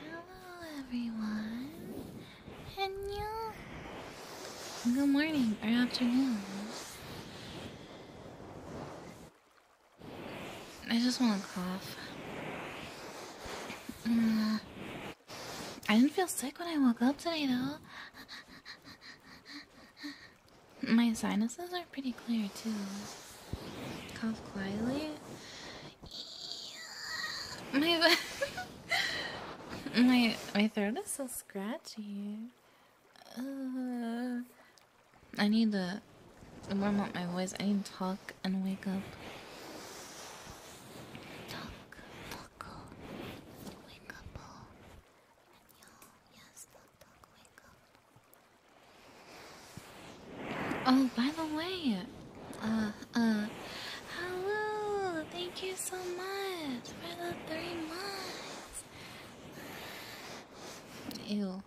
Hello everyone. good morning or afternoon. I just want to cough. Mm. I didn't feel sick when I woke up today though. My sinuses are pretty clear too. Cough quietly. My my my throat is so scratchy. Uh, I need to warm up my voice. I need to talk and wake up. Talk, talk, wake up. Yes, talk, talk, wake up. Oh, by the way, uh, uh, hello, thank you so much for the three months. Ew.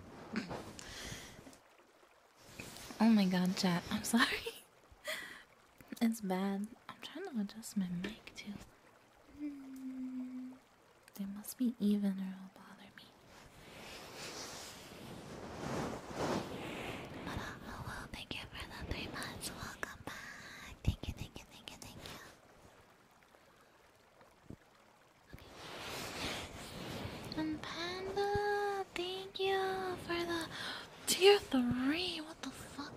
Oh my god, chat, I'm sorry. it's bad. I'm trying to adjust my mic too. They must be even or it'll bother me. Hello, thank you for the three months. Welcome back. Thank you, thank you, thank you, thank you. And Panda, thank you for the tier three. What the fuck?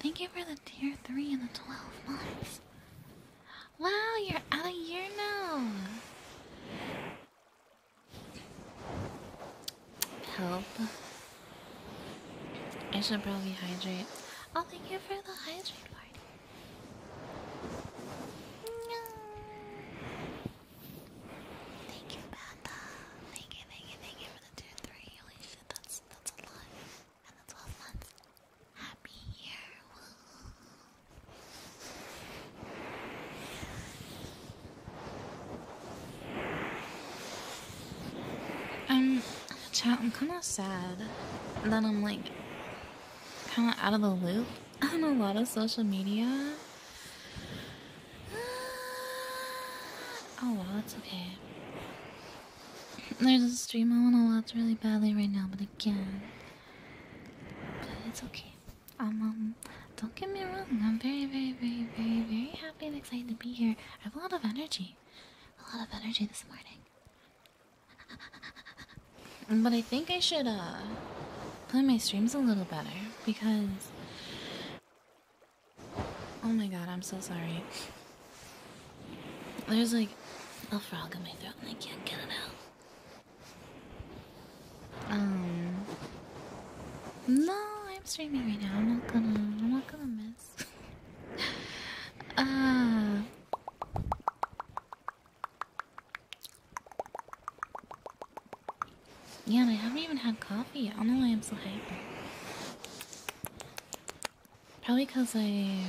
Thank you for the tier three and the twelve months. Wow, you're out a year now help. I should probably hydrate. Oh, thank you for the hydrate party. Thank you, Panda. Thank you, thank you, thank you for the two, three. Holy shit, that's that's a lot. And the twelve months. Happy year. I'm, chat, I'm kind of sad that I'm like kind of out of the loop i on a lot of social media. Oh well, that's okay. There's a stream I want to watch really badly right now, but again, but it's okay. Um, um, don't get me wrong, I'm very, very, very, very, very happy and excited to be here. I have a lot of energy. A lot of energy this morning. but I think I should, uh, plan my streams a little better because. Oh my god, I'm so sorry. There's like a frog in my throat and I can't get it out. Um. No, I'm streaming right now. I'm not gonna. I'm not gonna miss. uh. Yeah, and I haven't even had coffee I don't know why I'm so hyper. Probably because I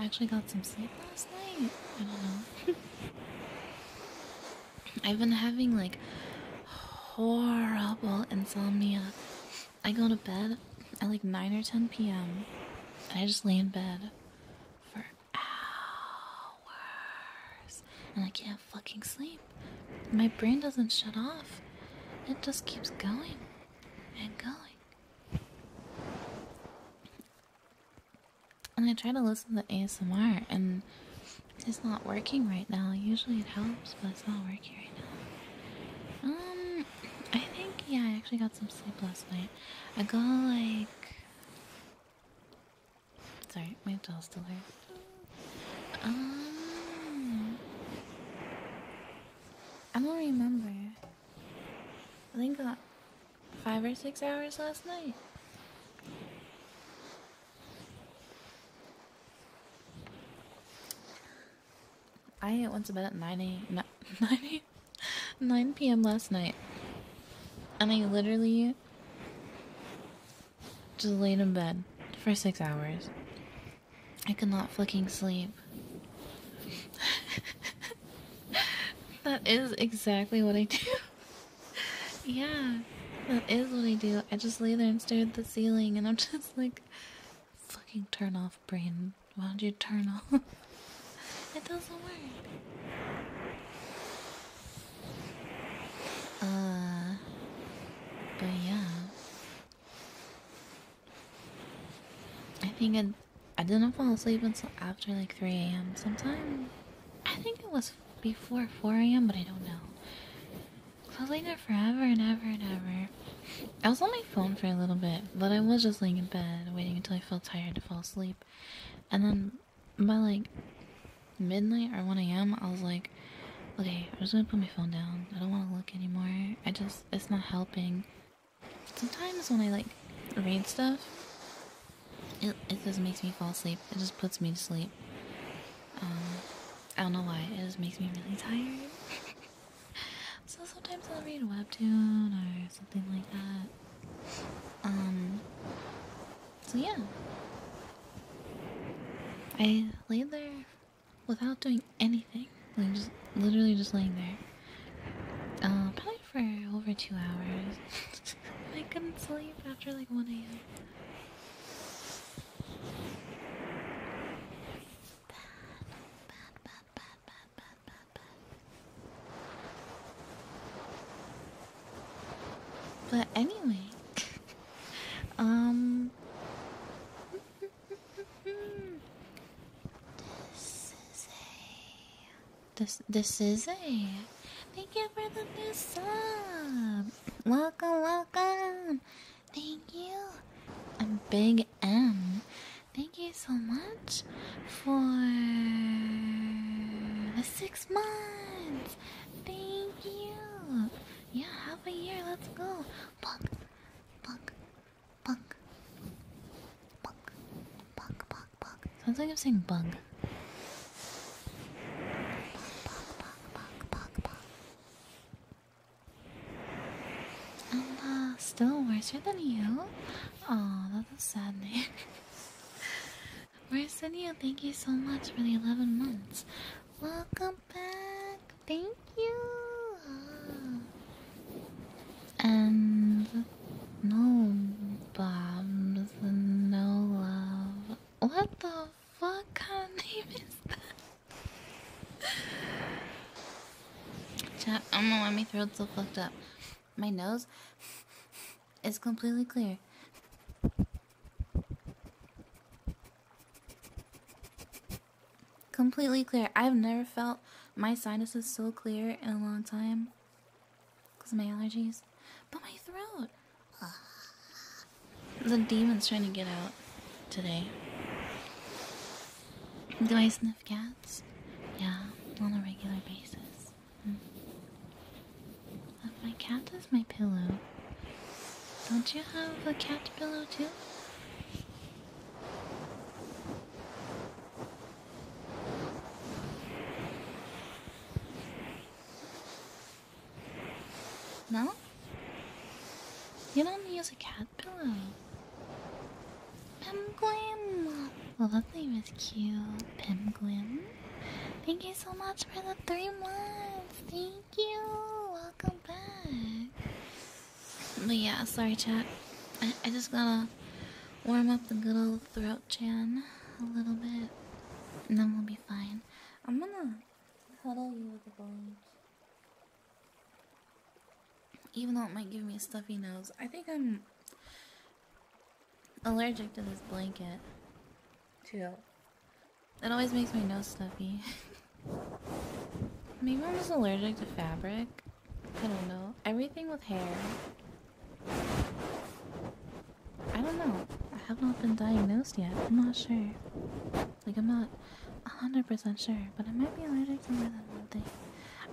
actually got some sleep last night. I don't know. I've been having like horrible insomnia. I go to bed at like 9 or 10 p.m. and I just lay in bed for hours and I can't fucking sleep. My brain doesn't shut off, it just keeps going and going. And I try to listen to ASMR, and it's not working right now. Usually it helps, but it's not working right now. Um, I think, yeah, I actually got some sleep last night. I got like. Sorry, my jaw still hurts. Um. I don't remember. I think I got five or six hours last night. I went to bed at 9 a.m. 9, 9 p.m. last night. And I literally just laid in bed for six hours. I could not flicking sleep. that is exactly what I do. yeah, that is what I do. I just lay there and stare at the ceiling, and I'm just like, fucking turn off, brain. Why would you turn off? it doesn't work. Uh, but yeah. I think I, I didn't fall asleep until after like 3 a.m. sometime. I think it was before 4 a.m., but I don't know. I was laying there forever and ever and ever. I was on my phone for a little bit, but I was just laying in bed, waiting until I felt tired to fall asleep. And then by like midnight or 1 a.m., I was like, okay, I'm just gonna put my phone down. I don't wanna look anymore. I just, it's not helping. Sometimes when I like read stuff, it, just makes me fall asleep. It just puts me to sleep. Um, I don't know why. It just makes me really tired. so sometimes I'll read a webtoon or something like that. Um, so yeah. I laid there without doing anything. Like just literally just laying there. Uh, probably for over two hours. I couldn't sleep after like 1 a.m. But anyway, um, this is a this this is a Thank you for the new sub. Welcome, welcome. Thank you. I'm Big M. Thank you so much for the six months. Thank you. Yeah, half a year. Let's go. Punk, punk, punk, punk, punk, punk, punk. Sounds like I'm saying bug still worse than you. Oh, that's a sad name. worse than you. Thank you so much for the 11 months. Welcome back. Thank you. Ah. And no bombs, no love. What the fuck kind of name is that? I don't know why my throat's so fucked up. My nose is completely clear. Completely clear. I've never felt my sinuses so clear in a long time because of my allergies. But my throat. The demon's trying to get out today. Do I sniff cats? Yeah, on a regular basis. Hmm. Uh, my cat is my pillow. Don't you have a cat pillow too? No? You don't use a cat pillow. Pimglim! Well, that name is cute. Pimglim. Thank you so much for the three months. Thank you. Welcome back. But yeah, sorry, chat. I, I just gotta warm up the good old throat chan a little bit, and then we'll be fine. I'm gonna Cuddle you with a blanket. Even though it might give me a stuffy nose, I think I'm allergic to this blanket, too. It always makes my nose stuffy. Maybe I'm just allergic to fabric. I don't know. Everything with hair. I don't know. I have not been diagnosed yet. I'm not sure. Like, I'm not 100% sure, but I might be allergic to more than one thing.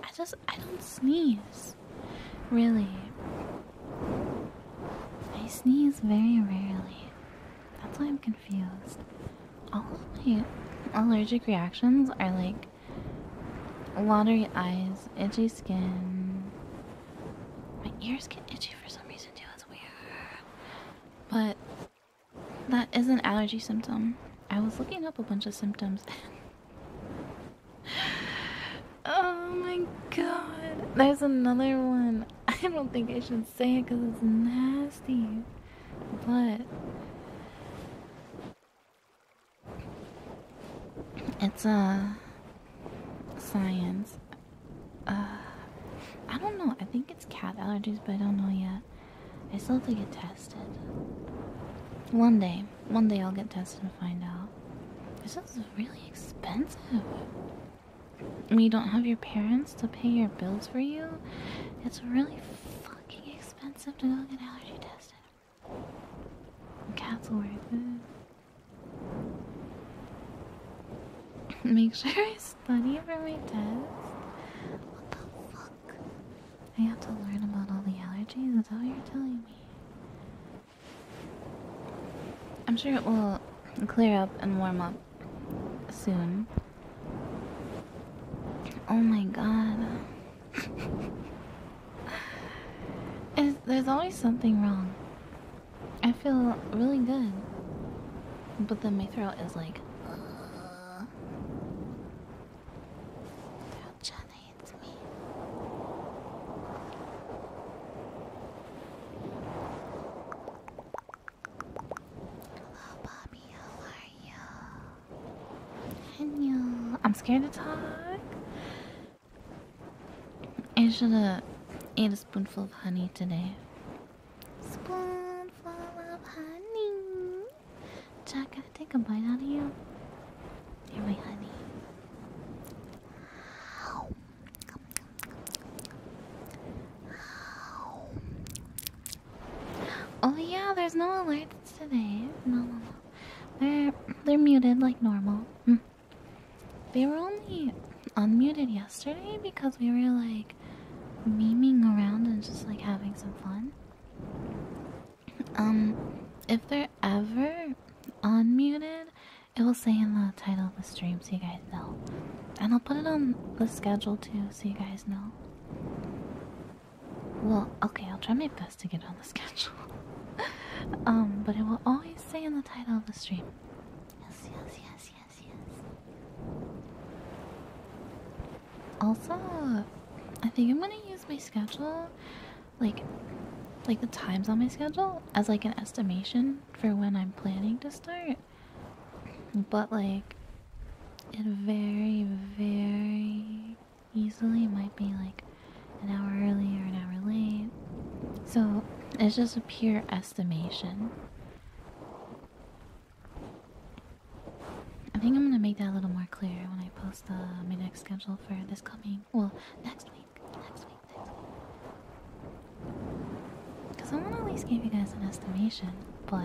I just, I don't sneeze. Really. I sneeze very rarely. That's why I'm confused. All of my allergic reactions are like watery eyes, itchy skin. My ears get itchy for some reason too but that is an allergy symptom. I was looking up a bunch of symptoms. oh my god. There's another one. I don't think I should say it because it's nasty. But it's a uh, Science. Uh, I don't know. I think it's cat allergies, but I don't know yet. I still have to get tested. One day. One day I'll get tested and find out. This is really expensive. You don't have your parents to pay your bills for you? It's really fucking expensive to go get allergy tested. Cats will worth it. Make sure I study for my test. What the fuck? I have to learn about all the allergies? That's all you're telling me? I'm sure it will clear up and warm up soon. Oh my god. there's always something wrong. I feel really good. But then my throat is like, Hello, oh, Bobby. How are you? Hello. I'm scared to talk. I should have ate a spoonful of honey today. Spoon full of honey. Jack, can I take a bite out of you? You're my Oh yeah, there's no alerts today. No, no, no. They're they're muted like normal. Mm. They were only unmuted yesterday because we were like memeing around and just like having some fun. Um, if they're ever unmuted, it will say in the title of the stream so you guys know. And I'll put it on the schedule too so you guys know. Well, okay, I'll try my best to get on the schedule. um, but it will always say in the title of the stream. Yes, Yes, yes, yes, also, I think I'm gonna use my schedule, like, like the times on my schedule, as like an estimation for when I'm planning to start. But like, it very, very easily might be like an hour early or an hour late. So it's just a pure estimation. I think I'm gonna make that a little more clear when I post my next schedule for this coming, well, next week, next week, next week. Cause I wanna at least give you guys an estimation, but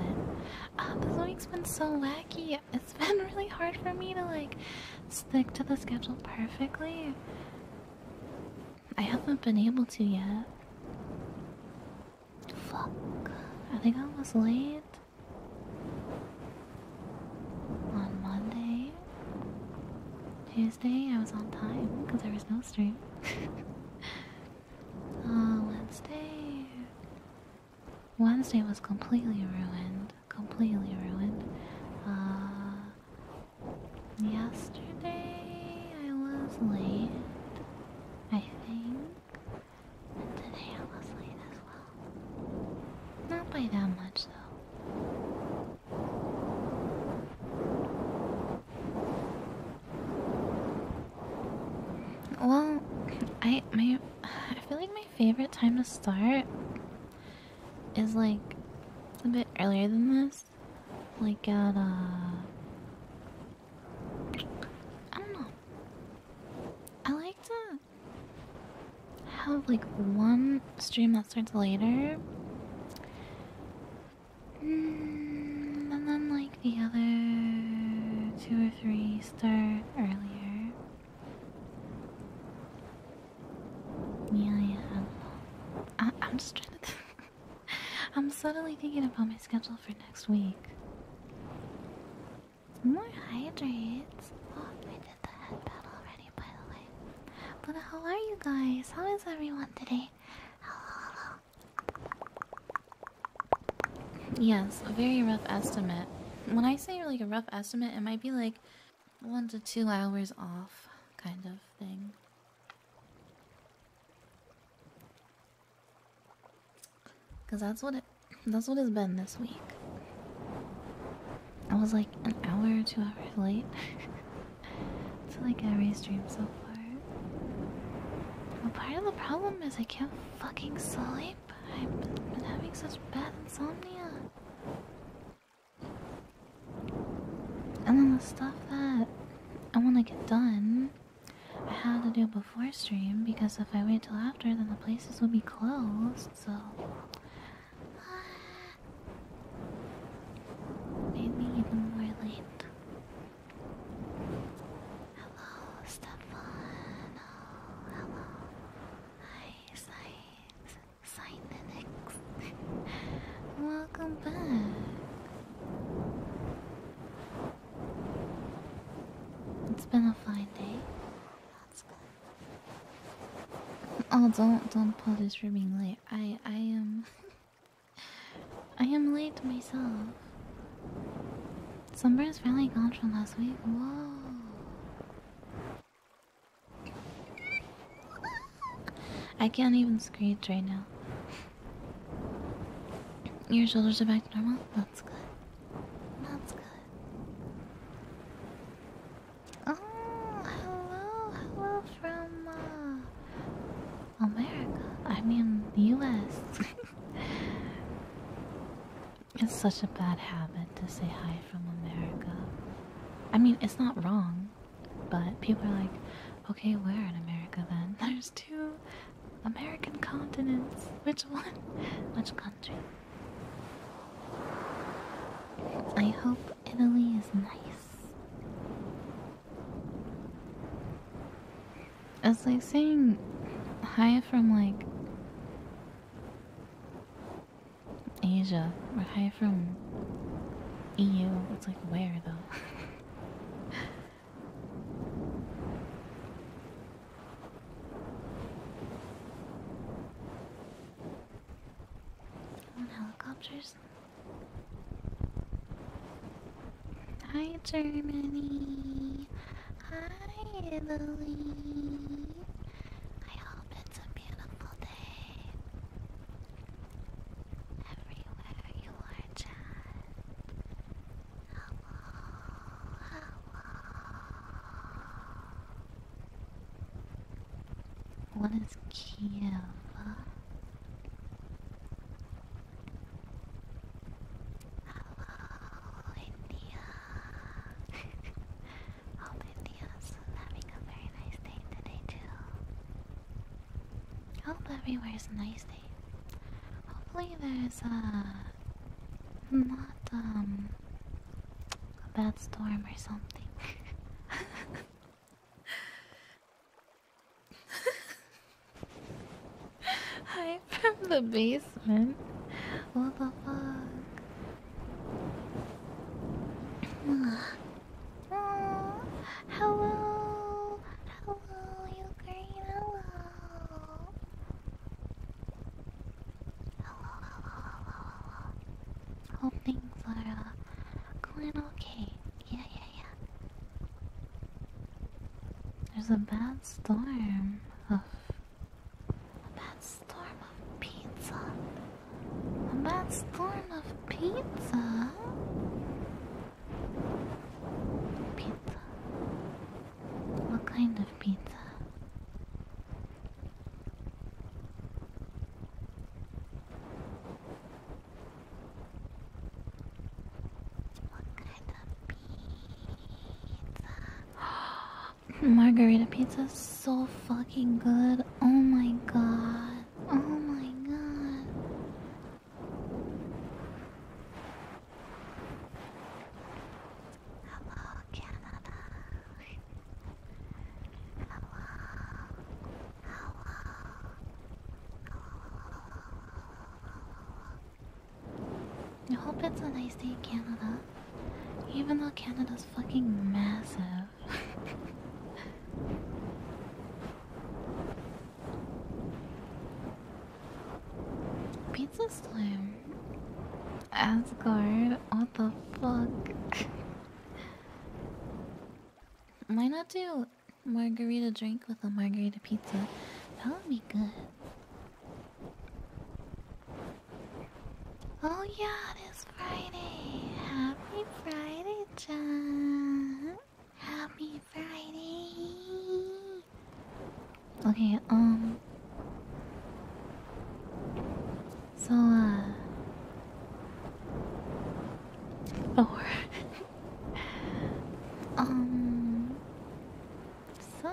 ah, this week's been so wacky. It's been really hard for me to like stick to the schedule perfectly. I haven't been able to yet. Fuck. I think I was late. On Monday. Tuesday, I was on time because there was no stream. Uh, Wednesday. Wednesday was completely ruined. Completely ruined. Uh, Yesterday I was late, I think. And today I was late as well. Not by that much though. Well, I my I feel like my favorite time to start is like a bit earlier than this is like at a uh, I don't know. I like to have like one stream that starts later, mm, and then like the other two or three start earlier. Yeah, yeah. I, I'm just trying to. I'm suddenly thinking about my schedule for next week. More hydrates. Oh, I did the headbutt already, by the way. But how are you guys? How is everyone today? Hello, hello. Yes, a very rough estimate. When I say like a rough estimate, it might be like one to two hours off, kind of thing. Cause that's what it that's what it's been this week. I was like an hour or two hours late to like every stream so far. But part of the problem is I can't fucking sleep. I've been, been having such bad insomnia. And then the stuff that I want to get done. I had to do it before stream because if I wait till after, then the places will be closed. So made even more late. Hello, Stefan. hello. Hi, Sign Sign Welcome back. It's been a fine day. Oh, don't don't apologize this being late. I I am I am late myself. Summer's finally gone from last week. Whoa. I can't even screech right now. Your shoulders are back to normal? That's good. That's good. Oh, hello, hello from uh, America. I mean, the US. it's such a bad habit to say hi from America. I mean, it's not wrong. But people are like, okay, where in America then? There's two American continents. Which one? Which country? I hope Italy is nice. It's like saying hi from like Asia or hi from EU. It's like where though? On helicopters. Hi, Germany. Hi, Italy. I hope it's a beautiful day everywhere Hello, hello. What is Kieva? Hello, India. Hope India's having a very nice day today, too. Hope everywhere's nice Hopefully, there's uh, not um, a bad storm or something. Hi from the basement. What the fuck? hello, Hello, Ukraine. Hello. Hello, hello, hello, hello. Hope things are going okay. Yeah, yeah, yeah. There's a bad storm of a bad storm of pizza. A bad storm of pizza. Pizza. What kind of pizza? What kind of pizza? Margarita pizza is so fucking good. Oh my god. Oh my god. Hello, Canada. Hello. Hello. I hope it's a nice day, Canada. Even though Canada's fucking massive. Pizza slam, Asgard, what the fuck? Why not do margarita drink with a margarita pizza? That would be good. Oh yeah, it is Friday. Happy Friday, John. Happy Friday. Okay, um. So, uh. Oh. um. So.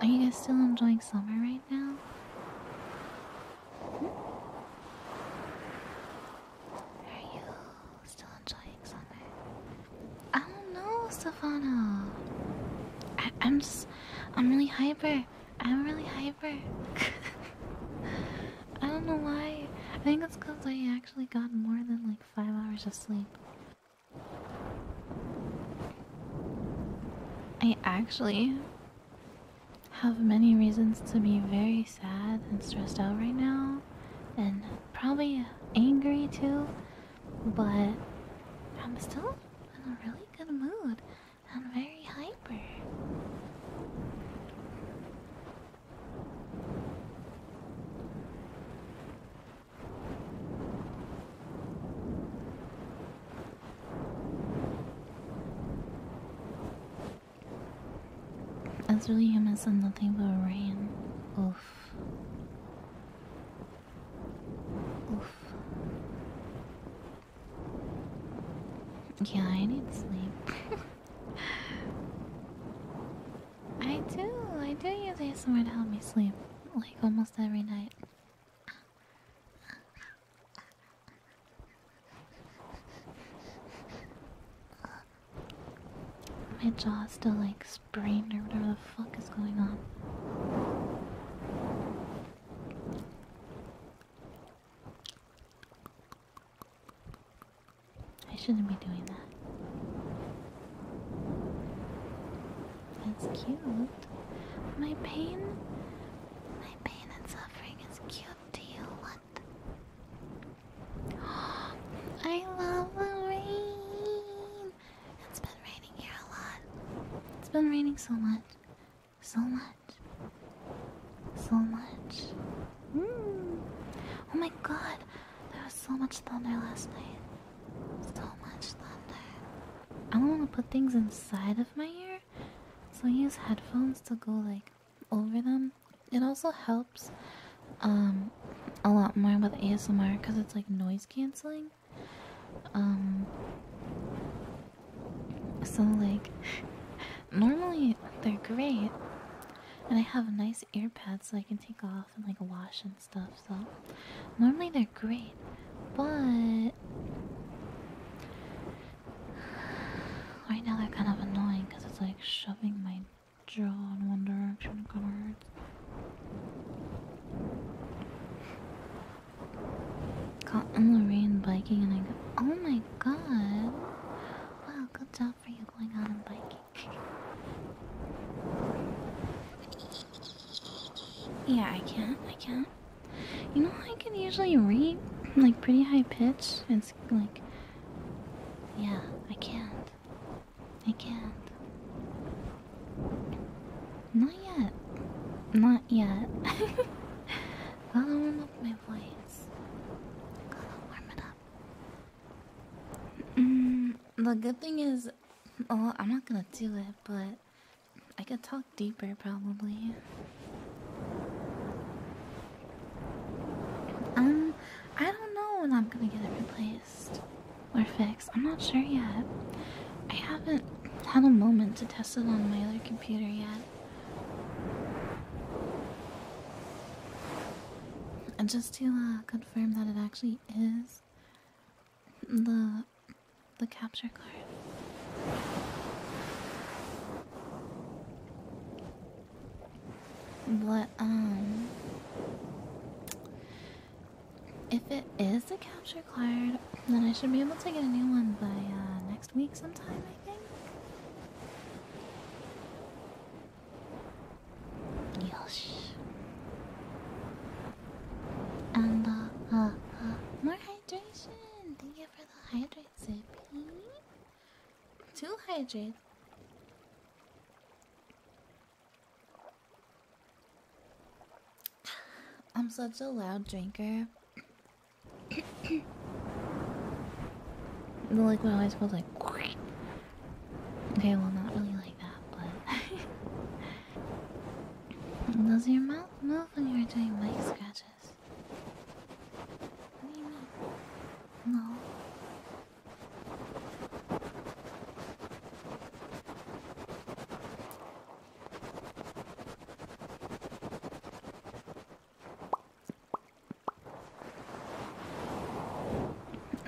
Are you guys still enjoying summer right now? Are you still enjoying summer? I don't know, Stefano. I am I'm really hyper. I'm really hyper. I don't know why. I think it's because I actually got more than like five hours of sleep. I actually have many reasons to be very sad and stressed out right now, and probably angry too, but I'm still in a really good mood and very hyper. That's really him as nothing but rain. Oof. Oof. Yeah, I need sleep. I do. I do use ASMR to help me sleep. Like almost every night. My jaw's still like sprained or whatever the fuck is going on. I shouldn't be doing that. That's cute. My pain pain and suffering is cute to you. What? I love the rain. It's been raining here a lot. It's been raining so much. So much. So much. Hmm. Oh my god. There was so much thunder last night. So much thunder. I don't want to put things inside of my ear. So I use headphones to go like over them. It also helps um, a lot more with ASMR because it's like noise canceling. Um, so like normally they're great and I have nice ear pads so I can take off and like wash and stuff so normally they're great but Right now they're kind of annoying because it's like shoving my jaw in one direction kind of hurts. Caught in the biking and I go, oh my god. Well, good job for you going out and biking. Yeah, I can't, I can't. You know, I can usually read like pretty high pitch. It's like, yeah, I can't. I can't. Not yet. Not yet. Gotta warm up my voice. Gotta warm it up. Mm, the good thing is, oh, I'm not gonna do it, but I could talk deeper, probably. Um, I don't know when I'm gonna get it replaced or fixed. I'm not sure yet. I haven't had a moment to test it on my other computer yet. And just to uh, confirm that it actually is the the capture card. But, um, if it is a capture card, then I should be able to get a new one by uh, next week sometime, I think. Yosh. And, uh, uh, uh more hydration! Thank you for the hydrate, Two hydrates. I'm such a loud drinker. the liquid always feels like. Okay, well, not really like that, but. Does your mouth move when you're doing mic scratches? What do you mean? No.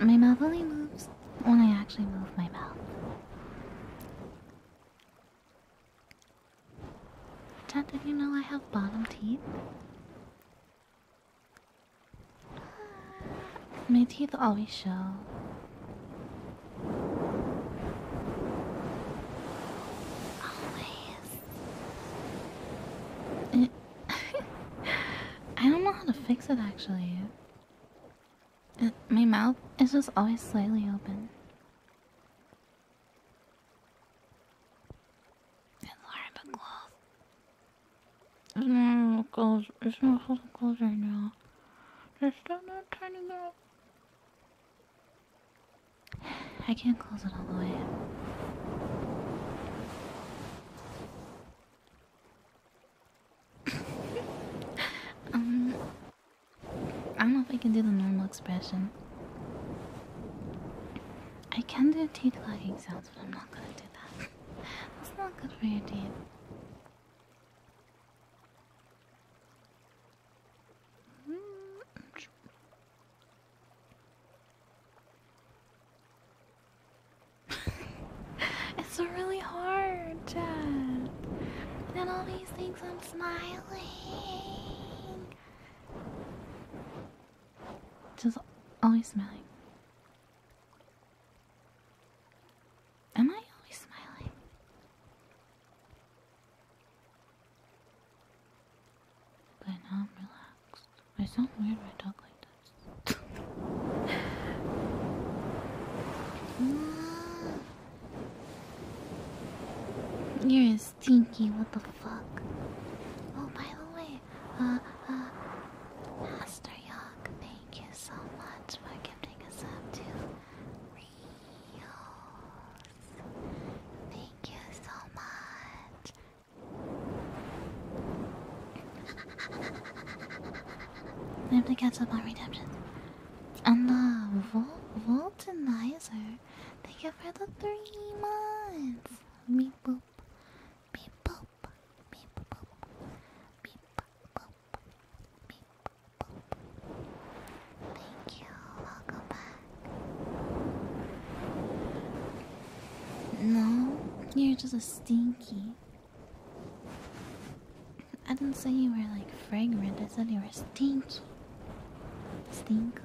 My mouth only moves when I actually move my mouth. Dad, did you know I have bottom teeth? My teeth always show. Always. I don't know how to fix it actually. my mouth is just always slightly open. And Laura McCloth. It's not clothes. It's not clothes right now. There's still no tiny girl. I can't close it all the way. um, I don't know if I can do the normal expression. I can do teeth clacking sounds, but I'm not gonna do that. That's not good for your teeth. it's really hard, Chad. And all these things I'm smiling. Just always smiling. Am I always smiling? But now I'm relaxed. I sound weird when I talk like this. Yes. stinky, what the fuck? Oh, by the way, uh, uh, Master Yogg, thank you so much for giving us up to Thank you so much. I have to catch up on redemption. And the uh, Vol Thank you for the three months. Meep boop. Meep boop. Meep boop. Meep boop. Meep boop. Thank you. Welcome back. No, you're just a stinky. I didn't say you were like fragrant, I said you were stinky. Stinko.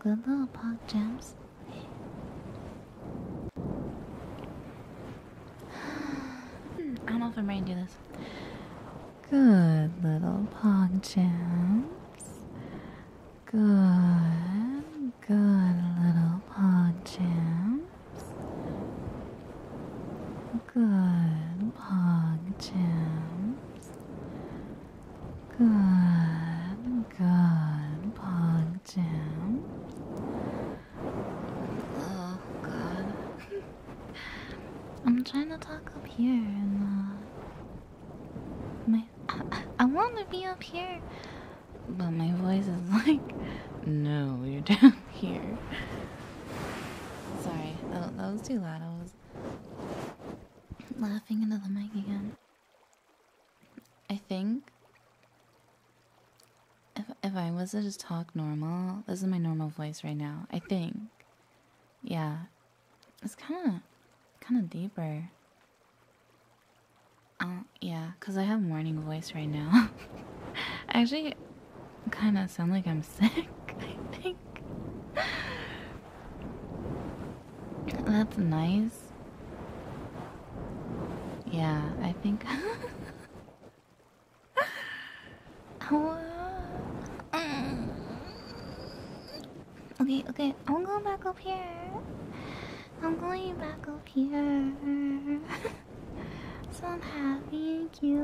Good little pog gems. Hmm, I don't know if I'm ready to do this. Good little pog gems. Good, good little pog gems. Good long gems. Good, good long gems. Oh god. I'm trying to talk up here and my I, I want to be up here, but my voice is like, no, you're down here. Sorry, that, that was too loud. I was laughing into the mic again. I think if if I was to just talk normal, this is my normal voice right now. I think, yeah, it's kind of kind of deeper. Uh, yeah, because I have morning voice right now. I actually kind of sound like I'm sick, I think. That's nice. Yeah, I think. Mm. okay, okay, i am going back up here. I'm going back up happier. so I'm happy and cute.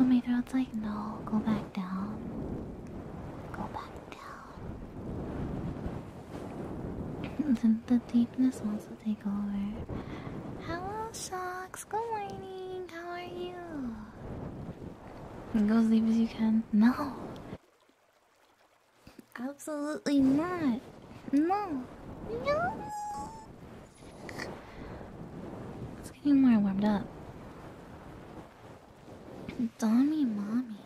Oh, my throat's like, no, go back down. Go back down. then the deepness wants to take over. Hello, socks. Good morning. How are you? Go as deep as you can. No! Absolutely not. No. No. It's getting more warmed up. Dommy mommy.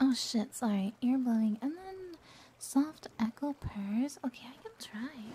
Oh shit, sorry. Ear blowing. And then soft echo purrs. Okay, I can try.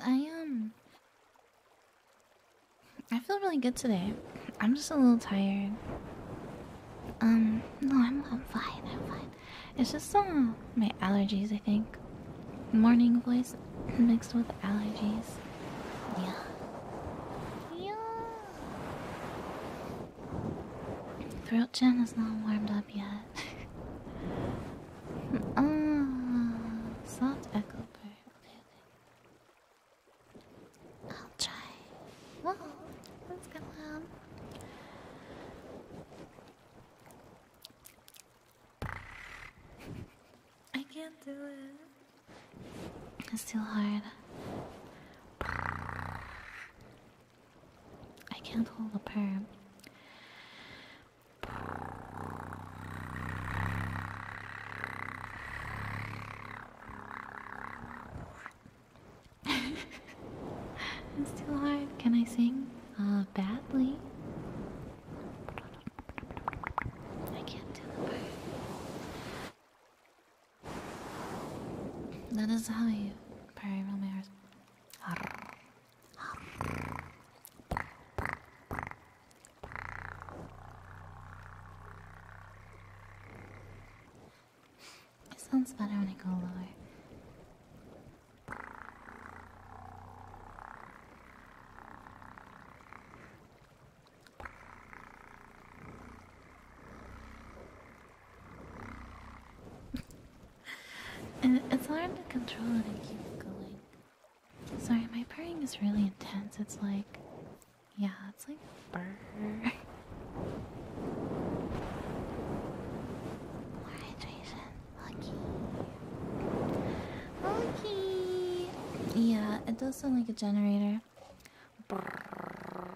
I um I feel really good today. I'm just a little tired. Um, no, I'm, I'm fine. I'm fine. It's just uh, my allergies, I think. Morning voice mixed with allergies. Yeah. Yeah. Throat chin is not warmed up yet. Ah, soft echo bird. I'll try. Whoa, what's going on? I can't do it. It's too hard. I can't hold a perm. it's too hard. Can I sing? Uh, badly. I can't do the part. That is how you probably roll it sounds better when I go lower. it's hard to control it and keep going. Sorry, my purring is really intense. It's like, yeah, it's like Yeah, it does sound like a generator.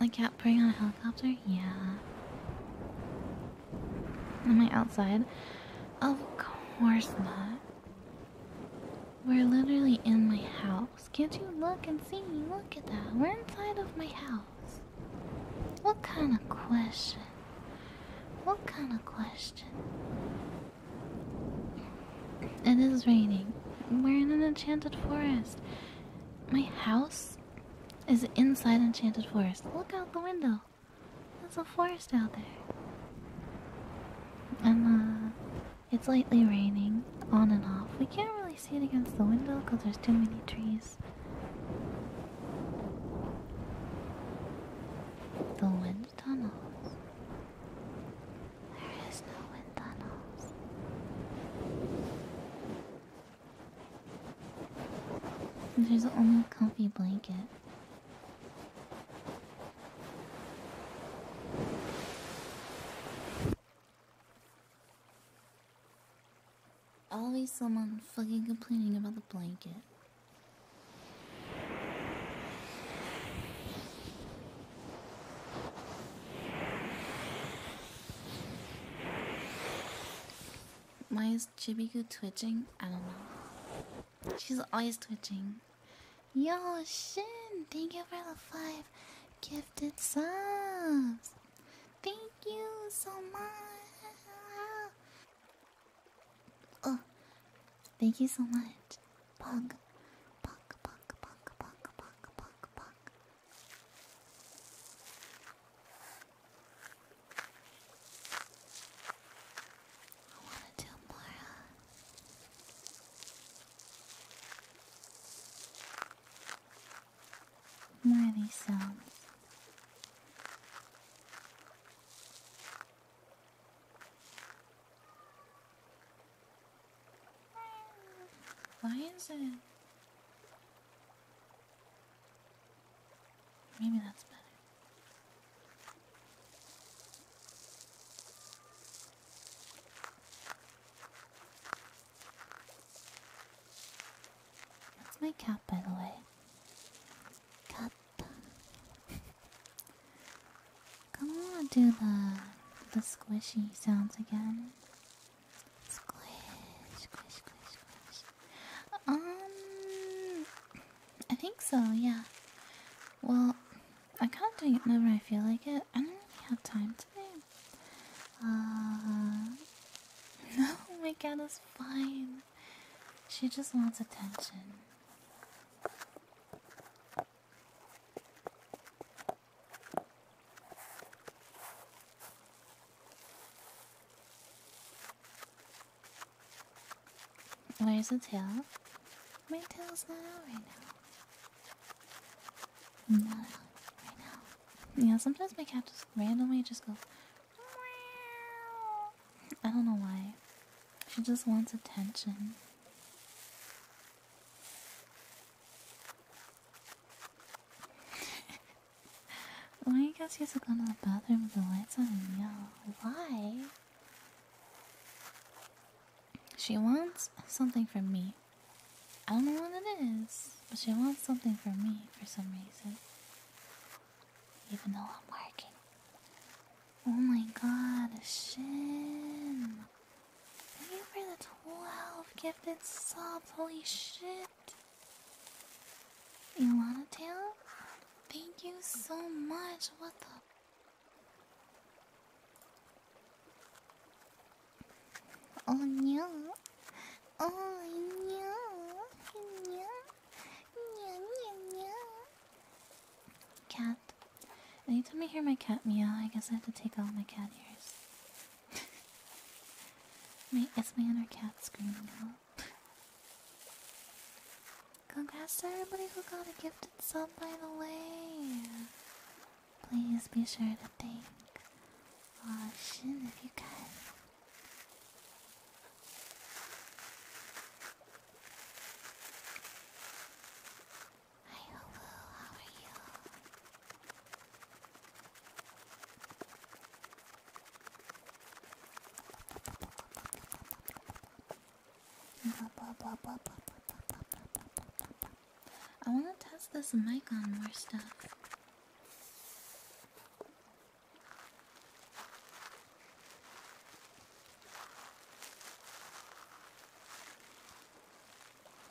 I can't bring on a helicopter? Yeah. Am I outside? Of course not. We're literally in my house. Can't you look and see? me? Look at that. We're inside of my house. What kind of question? What kind of question? It is raining. We're in an enchanted forest. My house is inside Enchanted Forest. Look out the window. There's a forest out there. And uh, it's lightly raining on and off. We can't really see it against the window because there's too many trees. The wind tunnels. There is no wind tunnels. There's only a comfy blanket. Always someone fucking complaining about the blanket. Why is Chibiku twitching? I don't know. She's always twitching. Yo, Shin! Thank you for the five gifted subs! Thank you so much! Oh, thank you so much. Pug, pug, pug, pug, pug, pug, pug, pug. I want to do more. More of these sounds. Why is it? Maybe that's better. That's my cat, by the way. Cat. Come on, do the the squishy sounds again. Squish, squish, squish, squish. Um, I think so. Yeah. Well, I can't do it whenever I feel like it. I don't really have time today. Uh, no, my cat is fine. She just wants attention. Where's the tail? My tail's not out right now. Not out right now. Yeah, sometimes my cat just randomly just goes. I don't know why. She just wants attention. Why you guys used to go to the bathroom with the lights on? Yo, why? She wants something from me. I don't know what it is, but she wants something from me for some reason. Even though I'm working. Oh my god, a shin. Thank you for the 12 gifted subs. Holy shit. You want a tail? Thank you so much. What the? Oh no. Oh no. No. No, no, no. Cat. Anytime I hear my cat meow, I guess I have to take out my cat ears my, me and our cat screaming out? Congrats to everybody who got a gifted sub, by the way! Please be sure to thank uh, if you can. Hi Hulu, you? I want to test this mic on more stuff.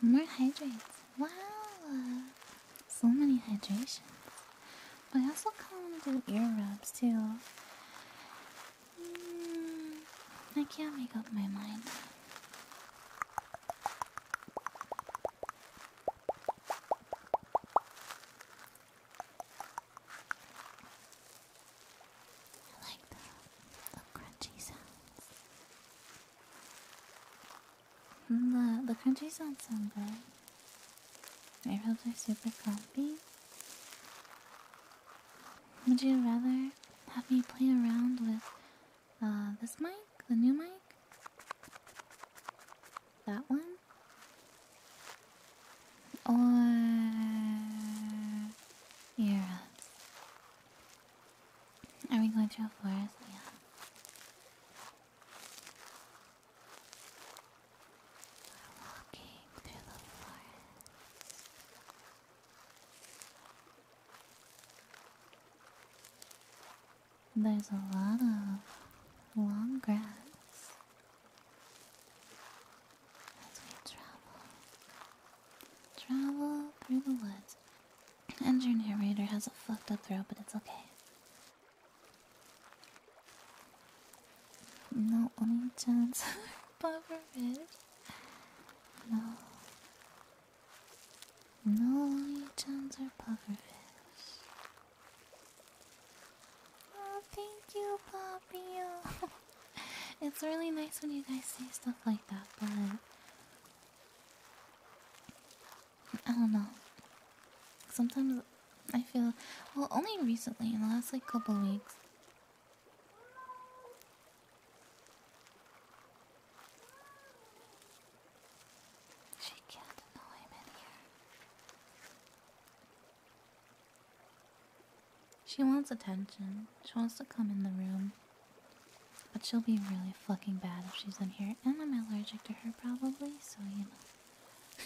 More hydrates. Wow! So many hydrations. But I also kind of do ear rubs too. Hmm. I can't make up my mind. I like the crunchy sounds. The, the country sounds so good. My robes are super comfy. Would you rather have me play around with uh, this mic? The new mic? That one? Or earrings? Are we going through a forest? Yeah. We're walking through the forest. There's a lot of long grass as we travel. Travel through the woods. And your narrator has a fucked up throat, but it's okay. No only chance buffer No. No chance or pufferfish. Oh, thank you, Poppy. it's really nice when you guys say stuff like that, but I don't know. Sometimes I feel well only recently in the last like couple weeks. She can't know I'm in here. She wants attention. She wants to come in the room. But she'll be really fucking bad if she's in here. And I'm allergic to her probably, so you know.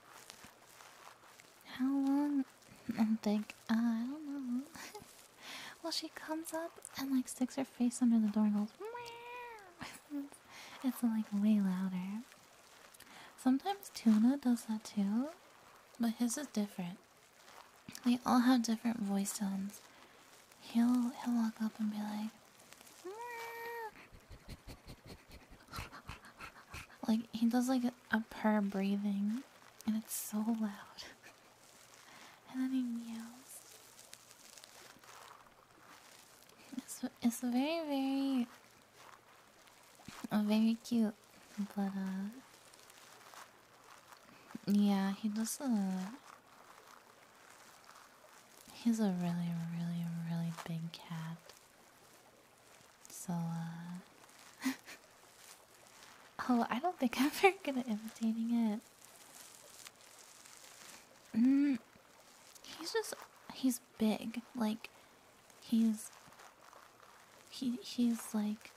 How long? I'm like, uh, I don't know. well, she comes up and like sticks her face under the door and goes, Meow. it's like way louder. Sometimes Tuna does that too, but his is different. We all have different voice tones. He'll he'll walk up and be like like he does like a, a purr breathing and it's so loud and then he yells it's, it's very very very cute but uh yeah, he does not He's a really, really, really big cat. So, uh, oh, I don't think I'm very good at imitating it. Mm, he's just. He's big. Like, he's. He, he's like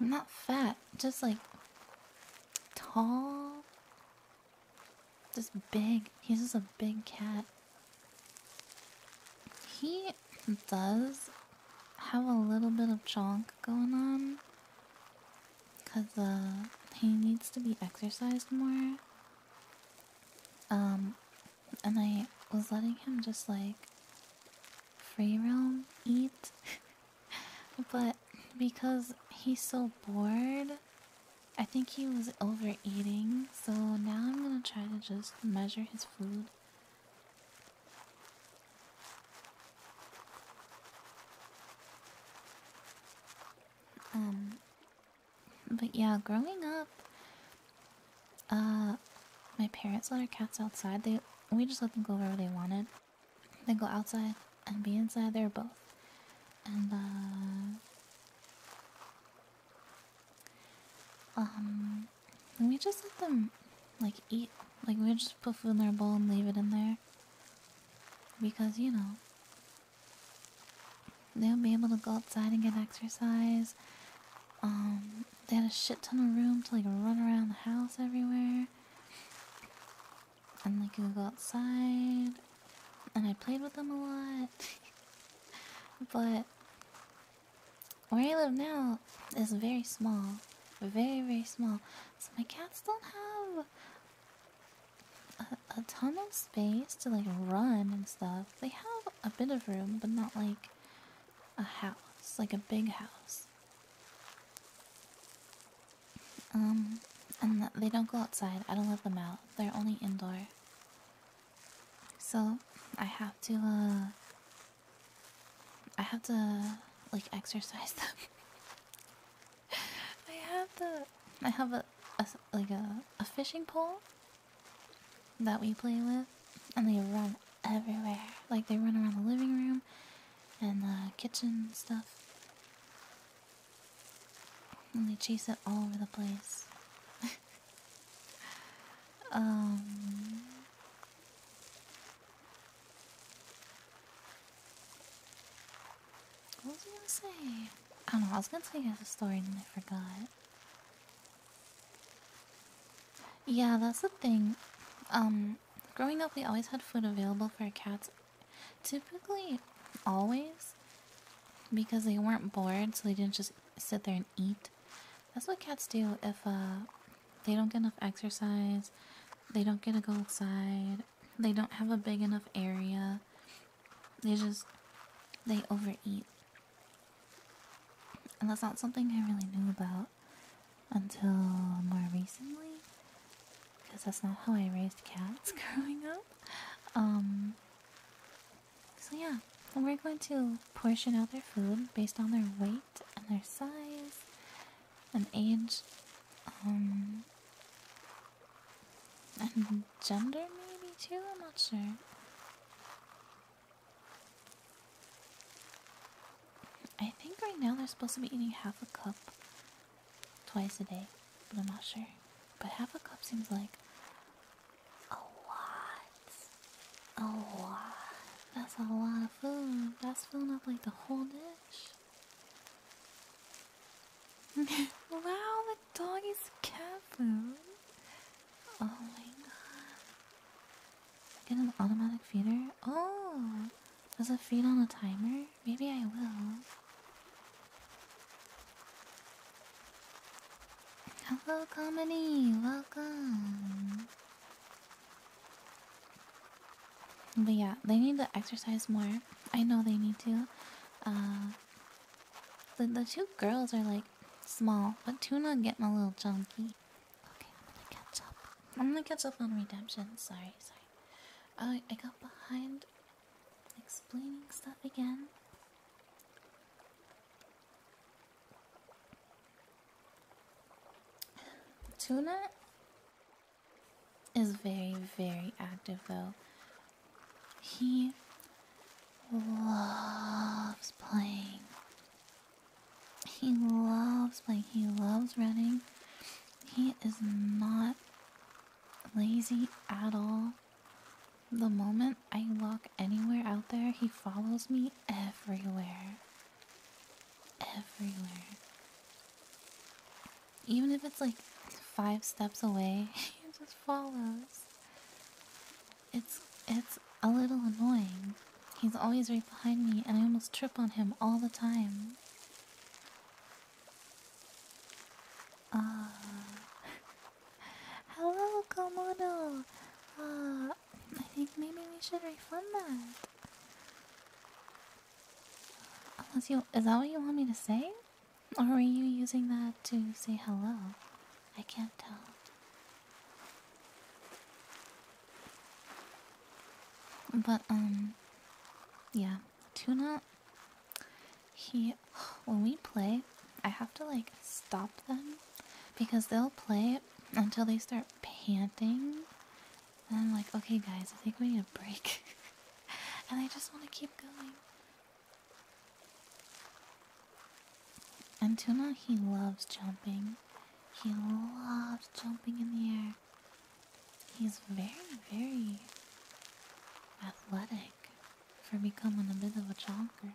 I'm not fat, just like tall. Just big. He's just a big cat. He does have a little bit of junk going on. Because uh, he needs to be exercised more. Um, and I was letting him just like free roam eat. but because he's so bored, I think he was overeating, so now I'm gonna try to just measure his food. Um, but yeah, growing up, uh, my parents let our cats outside. They we just let them go wherever they wanted. Then go outside and be inside. They're both. And, uh. Um. We just let them, like, eat. Like, we just put food in their bowl and leave it in there. Because, you know. They'll be able to go outside and get exercise. Um, they had a shit ton of room to like run around the house everywhere and like we go outside and I played with them a lot. but where I live now is very small. Very, very small. So my cats don't have a ton of space to like run and stuff. They have a bit of room, but not like a house, like a big house. Um, and they don't go outside. I don't let them out. They're only indoor. So I have to, uh, I have to, like, exercise them. I have to, I have a, a like, a, a fishing pole that we play with, and they run everywhere. Like they run around the living room and the kitchen stuff. And they chase it all over the place. um What was I gonna say? I don't know, I was gonna tell you guys a story and I forgot. Yeah, that's the thing. Um growing up, we always had food available for our cats. Typically, always, because they weren't bored, so they didn't just sit there and eat. That's what cats do if uh, they don't get enough exercise, they don't get to go outside, they don't have a big enough area. They just, they overeat. And that's not something I really knew about until more recently because that's not how I raised cats growing up. Um, so, yeah, we're going to portion out their food based on their weight and their size and age um, and gender, maybe too. I'm not sure. I think right now they're supposed to be eating half a cup twice a day, but I'm not sure. But half a cup seems like a lot. A lot. That's a lot of food. That's filling up like the whole dish. wow, the dog is cat Oh my god. Get an automatic feeder? Oh! Does it feed on a timer? Maybe I will. Hello, comedy! Welcome! But yeah, they need to exercise more. I know they need to. Uh, the, the two girls are like small, but Tuna getting a little chunky. Okay, I'm gonna catch up. I'm gonna catch up on redemption. Sorry, sorry. I oh, I got behind explaining stuff again. Tuna is very, very active though. He loves playing he loves, like, he loves running. He is not lazy at all. The moment I walk anywhere out there, he follows me everywhere. Everywhere. Even if it's like five steps away, he just follows. It's it's a little annoying, He's always right behind me, and I almost trip on him all the time. Ah. hello, Komodo! Uh, I think maybe we should refund that. Unless you. Is that what you want me to say? Or were you using that to say hello? I can't tell. But, um, yeah, Tuna, he, when we play, I have to, like, stop them because they'll play until they start panting. And I'm like, okay, guys, I think we need a break. and I just want to keep going. And Tuna, he loves jumping. He loves jumping in the air. He's very, very athletic for becoming a bit of a chonker.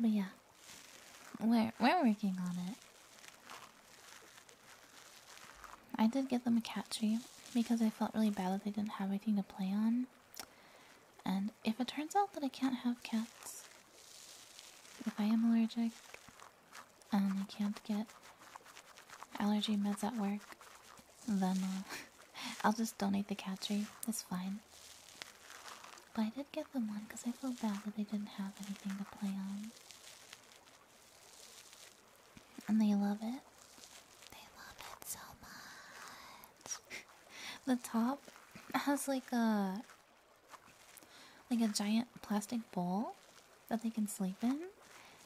But yeah, we're we're working on it. I did get them a cat tree because I felt really bad that they didn't have anything to play on. And if it turns out that I can't have cats, if I am allergic and I can't get allergy meds at work, then uh, I'll just donate the cat tree. It's fine. But I did get them one because I felt bad that they didn't have anything to play on. And they love it. They love it so much. the top has like a like a giant plastic bowl that they can sleep in.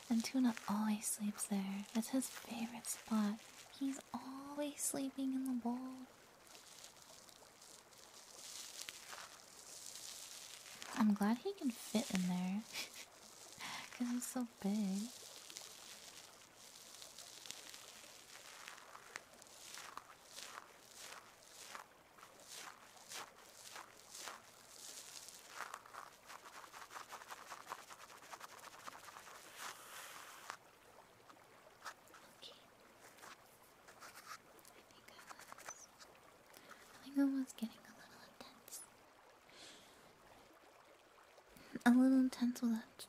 And Tuna always sleeps there. That's his favorite spot. He's always sleeping in the bowl. I'm glad he can fit in there. Because i I'm so big. Okay. I think I was. getting a little intense. A little intense with that.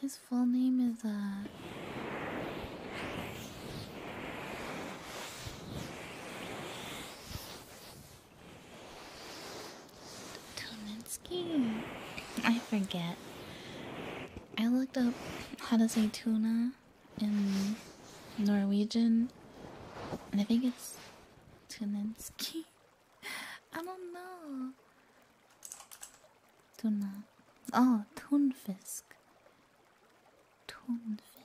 His full name is uh Tominski. I forget. I looked up how to say tuna in Norwegian. And I think it's Tunenski. I don't know. Tuna. Oh, Tunfisk. Tunfisk.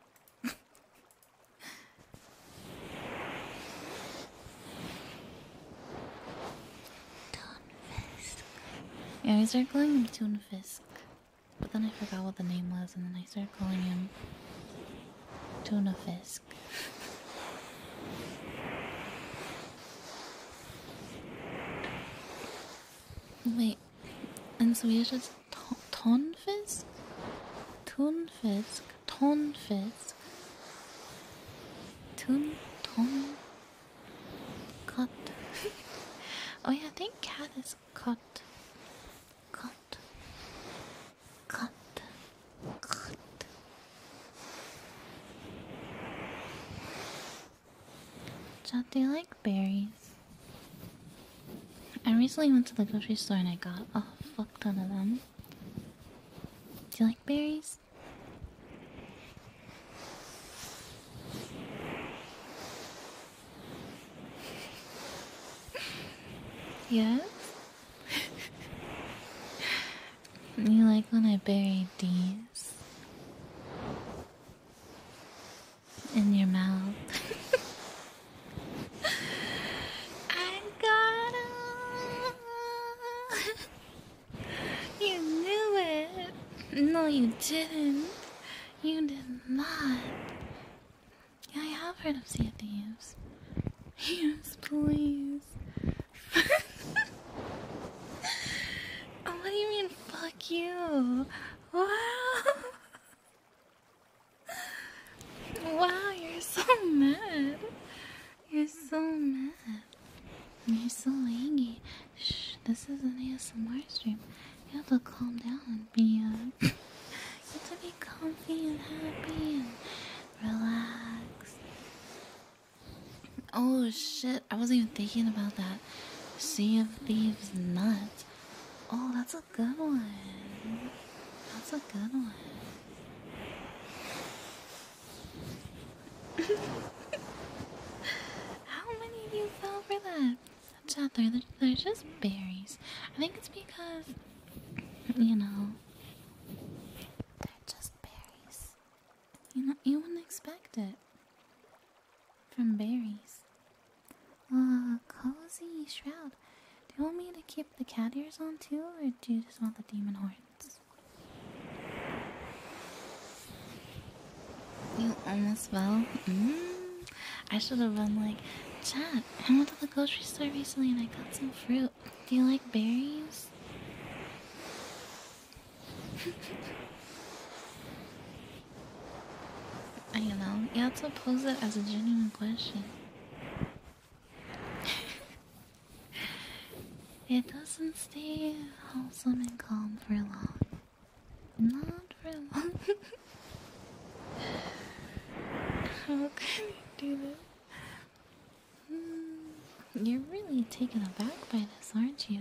Tunfisk. Yeah, we start calling him Tunfisk. But then I forgot what the name was, and then I started calling him Tuna Fisk. Wait, and so he just Tonfisk? Tunfisk? Tonfisk? Tun. Ton. Cut. oh, yeah, I think cat is cut, cut, cut, cut. do you like berries? I recently went to the grocery store and I got a fuck ton of them. Do you like berries? Yes? you like when I bury these? In your mouth. I got you knew it! No, you didn't. You did not. I have heard of Sea Thieves. Yes, please. Oh, what do you mean, fuck you? Wow. Wow, you're so mad. You're so mad. You're so angry. Shh, this is an ASMR stream. You have to calm down and be, uh, you have to be comfy and happy and relax. Oh shit, I wasn't even thinking about that. Sea of Thieves nuts. Oh, that's a good one. That's a good one. How many of you fell for that? They're just berries. I think it's because, you know, they're just berries. You know, you wouldn't expect it from berries. Ah, cozy shroud. Do you want me to keep the cat ears on too, or do you just want the demon horns? You almost fell? Mm, I should have been like, Chad, I went to the grocery store recently and I got some fruit. Do you like berries? I don't know. You have to pose it as a genuine question. it doesn't stay wholesome and calm for long. Not for How can you do this? Hmm, you're really taken aback by this, aren't you?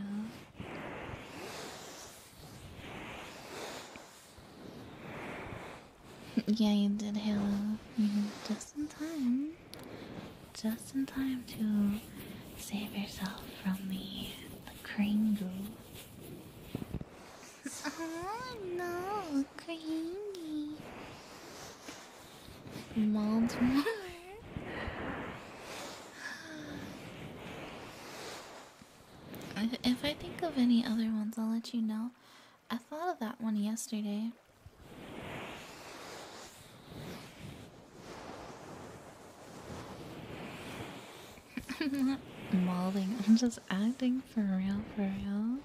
yeah, you did, Halo. Just in time. Just in time to save yourself from the, the Kringle. Oh no, crazy. Mount more. If I think of any other ones, I'll let you know. I thought of that one yesterday. I'm not modeling, I'm just acting for real, for real.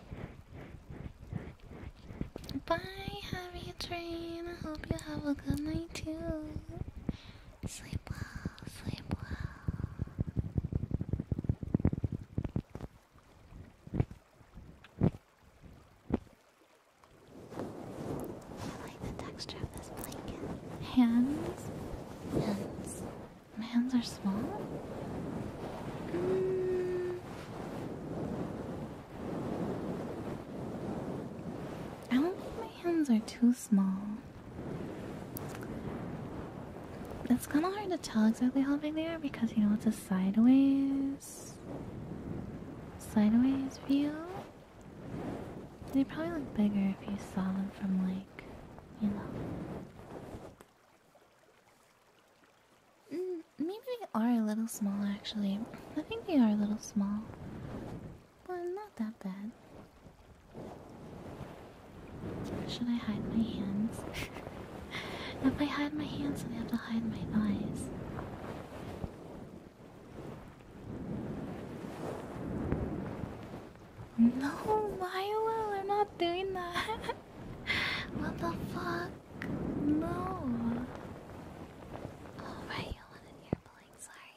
Bye, Harry Train. I hope you have a good night too. Sleep well, sleep well. I like the texture of this blanket. Hands, hands, my hands are small? I don't think my hands are too small. It's kind of hard to tell exactly how big they are because you know it's a sideways, sideways view. They probably look bigger if you saw them from like maybe they are a little small, actually. I think they are a little small, but not that bad. Should I hide my hands? if I hide my hands, I have to hide my eyes. No, Milo, I'm not doing that. what the fuck? No. Oh, you want an sorry.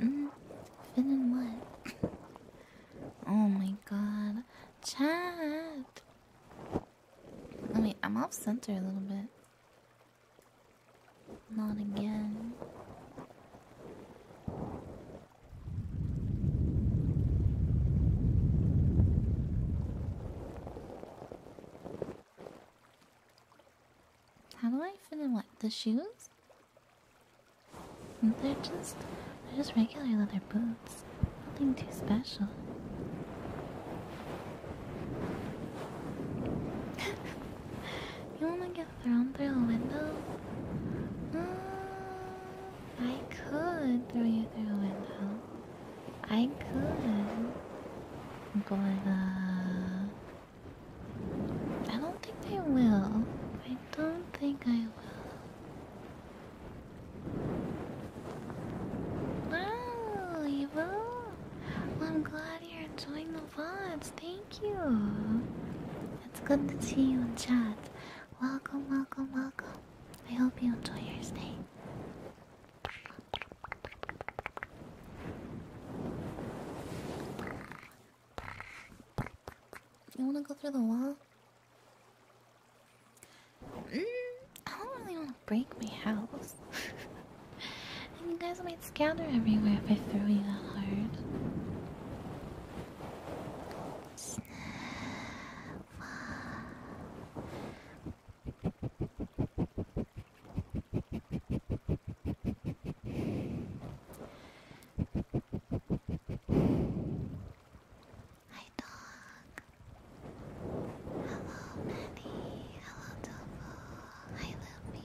Mm, mm-hmm. fit what? oh my god. Chat! Wait, I'm off center a little bit. Not again. How do I fit in what? The shoes? They're just, they're just regular leather boots. Nothing too special. you wanna get thrown through a window? Mm, I could throw you through a window. I could. But, uh, I don't think I will. I don't think I will. Wow, Eva! I'm glad you're enjoying the VODs. Thank you. It's good to see you in chat. Welcome, welcome, welcome. I hope you enjoy your stay. You wanna go through the wall? Mm, I don't really wanna break my house. you guys might scatter everywhere if I throw you that hard. Hi, dog. Hello, Manny. Hello, Topo. Hi, Lumpy.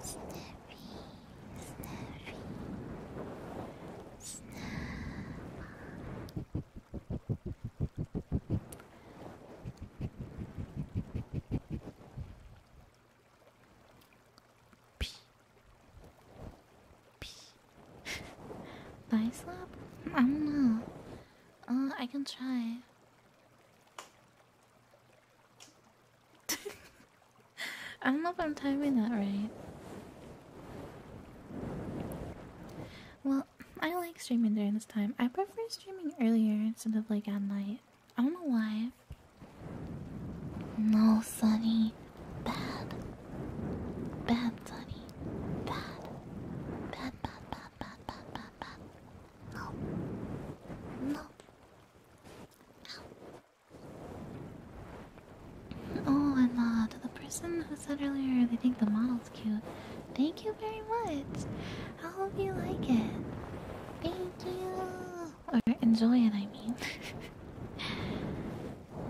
Snurry, snurry, snurry. Pee. Pee. Bicep? I don't know. Uh, I can try. I don't know if I'm timing that right. Well, I like streaming during this time. I prefer streaming earlier instead of like at night. I don't know why. No, Sunny. Bad. Bad, Sunny. Bad. Bad, bad, bad, bad, bad, bad, bad. No. No. Oh, and uh, the person who said earlier they think the model's cute, thank you very much. I hope you like it. Thank you. Or enjoy it, I mean.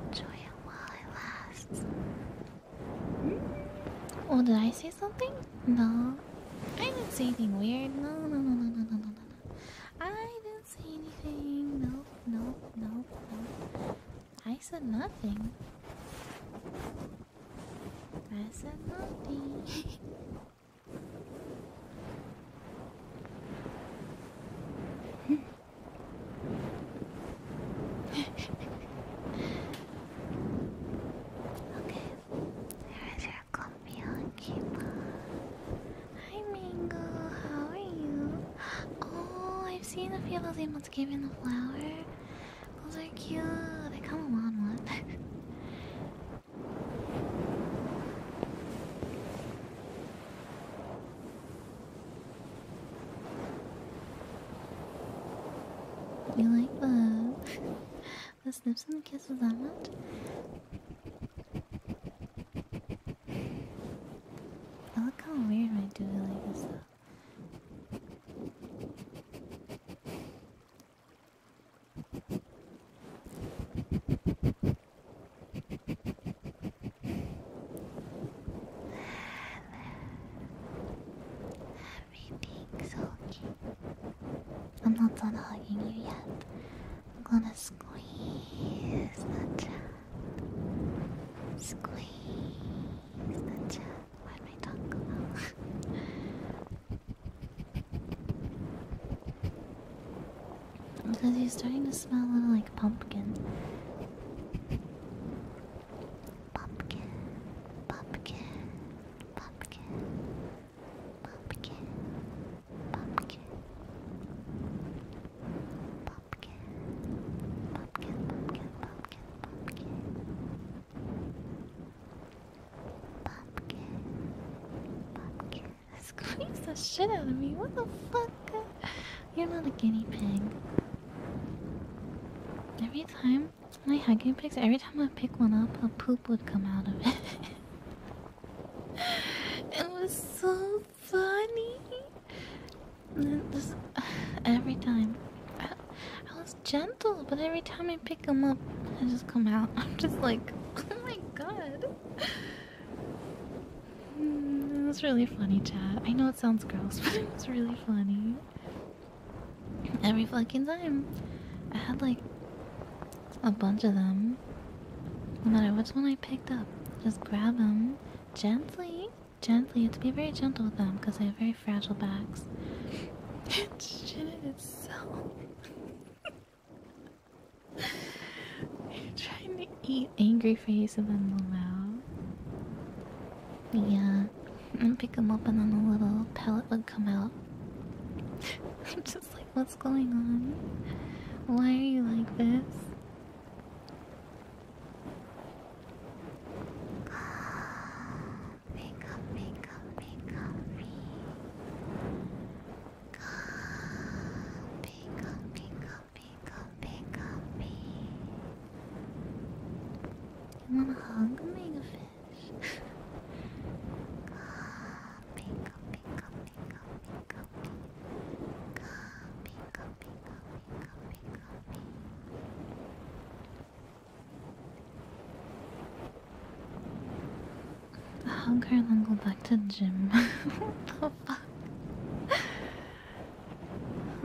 enjoy it while it lasts. Hmm? Oh, did I something? No. I didn't say anything weird. No, no, no, no, no, no, no, no. I didn't say anything. No, no, no, no. I said nothing. I said nothing. okay. Here's your Hi Mango, how are you? Oh, I've seen a few of those emotes giving the flower. Those are cute. They come along long one. You like that? the snips and the kisses on it. I look how weird when I do it like this I'm not done hugging you yet. I'm gonna squeeze the chat. Squeeze the chat. Why because he's starting to smell a little like pumpkin. Pumpkin, pumpkin, pumpkin, Pumpkin, pumpkin, pumpkin, pumpkin, pumpkin, pumpkin, pumpkin, pumpkin, pumpkin. Squeeze the shit out of me. What the fuck? You're not a guinea pig. Every time my hugging pigs. every time I pick one up, a poop would come out of it. it was so funny. every time. I, was gentle, but every time I pick them up, I just come out. I'm just like, oh my god. Hmm, it was really funny, chat. I know it sounds gross, but it was really funny. Every fucking time. I had like a bunch of them. No matter which one I picked up, just grab them gently. Gently, to be very gentle with them because they have very fragile backs. It's so. itself. You're trying to eat angry face and then allow. Yeah, and pick them up and then the little pellet would come out. I'm just like what's going on? Why are you like this? Pick up, pick up, pick up me. Pick up, pick up, pick up, pick up me. You wanna hug me, how can I go back to the gym? the fuck?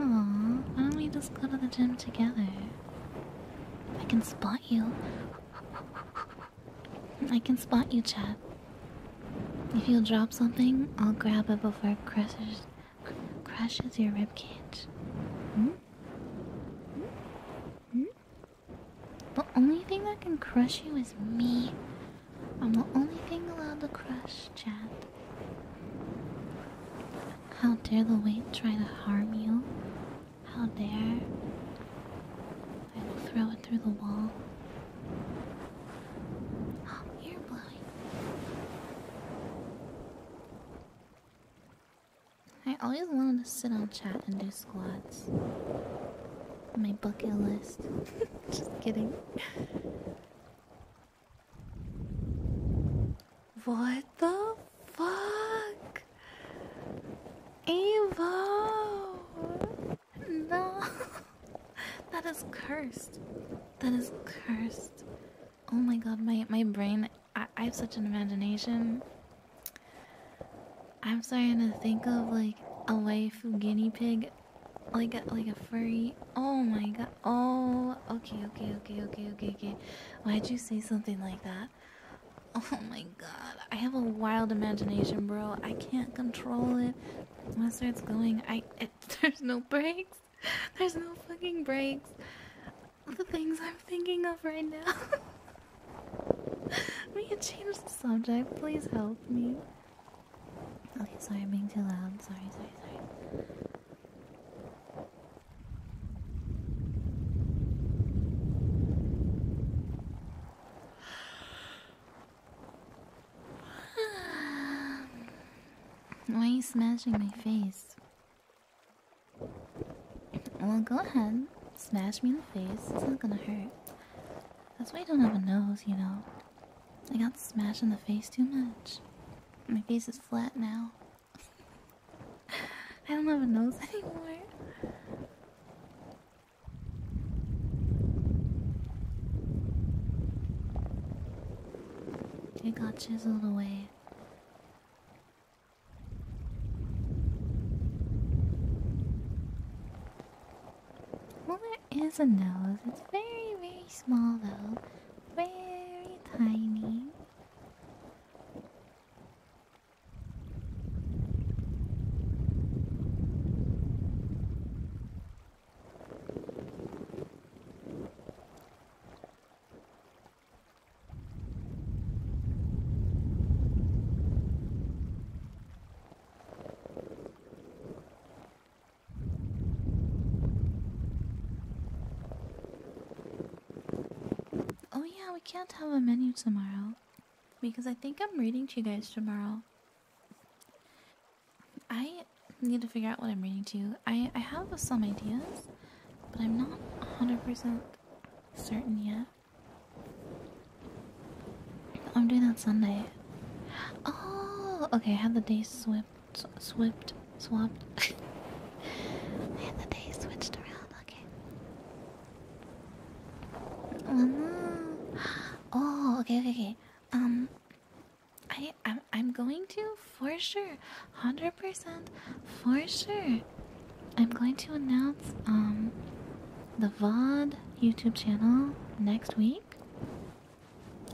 Aw, why don't we just go to the gym together? I can spot you. I can spot you, Chad. If you drop something, I'll grab it before it crushes, your rib cage. Hmm? Hmm? The only thing that can crush you is me. I'm the only thing allowed to crush, Chad. How dare the weight try to harm you? How dare? I will throw it through the wall. Oh, you're I always wanted to sit on chat and do squats. My bucket list. Just kidding. What the fuck? back. No! that is cursed. That is cursed. Oh my god, my, my brain. I, have such an imagination. I'm starting to think of like a waifu guinea pig. Like a, like a furry. Oh my god. Oh. Okay, okay, okay, okay, okay, okay. Why'd you say something like that? Oh my god, I have a wild imagination, bro. I can't control it. When it starts going, I there's no breaks. There's no fucking breaks. The things I'm thinking of right now. we can change the subject. Please help me. Okay, sorry, I'm being too loud. Sorry, sorry, sorry. Um, why are you smashing my face? Well, go ahead. Smash me in the face. It's not gonna hurt. That's why you don't have a nose, you know. I got smashed in the face too much. My face is flat now. I don't have a nose anymore. It got chiseled away. Well, there is a nose. It's very, very small though. Very tiny. Oh yeah, we can't have a menu tomorrow because I think I'm reading to you guys tomorrow. I need to figure out what I'm reading to. I I have some ideas, but I'm not 100% certain yet. I'm doing that Sunday. Oh, okay. I had the day swipped, swipped, swapped. I the day switched around. Okay. Um, oh okay, okay, okay. Um, I, I'm, I'm going to for sure, hundred percent, for sure. I'm going to announce um the VOD YouTube channel next week.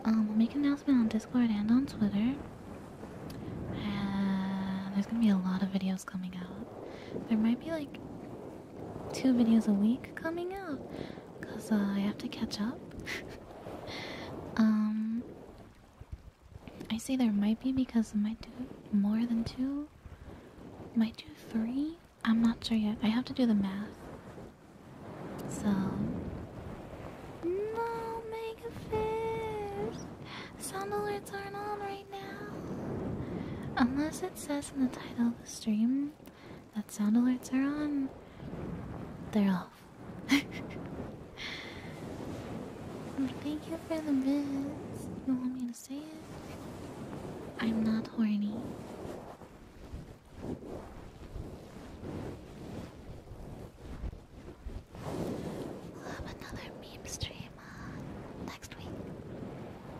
Um, we'll make an announcement on Discord and on Twitter. And there's gonna be a lot of videos coming out. There might be like two videos a week coming out because uh, I have to catch up. um, I say there might be because I might do more than two, might do three. I'm not sure yet. I have to do the math. So, no mega Sound alerts aren't on right now, unless it says in the title of the stream that sound alerts are on, they're off. Oh, thank you for the bits. You want me to say it? I'm not horny. have another meme stream next week.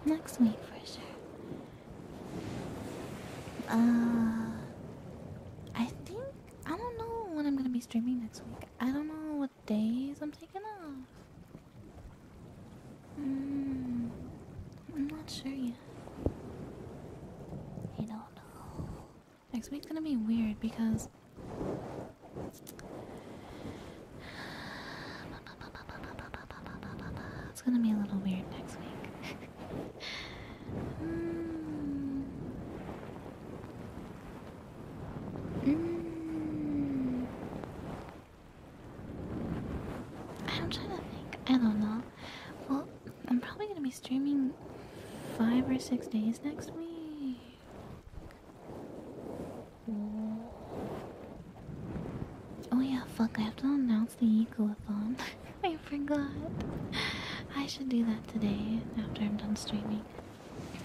Next week for sure. Uh, I think I don't know when I'm gonna be streaming next week. I don't know what days I'm taking off. Mm, I'm not sure yet. I don't know. Next week's gonna be weird because. It's gonna be a little weird next week. Hmm. Hmm. I don't know. Well, I'm probably gonna be streaming five or six days next week. Oh yeah, fuck, I have to announce the Ecoathon. I forgot. I should do that today after I'm done streaming.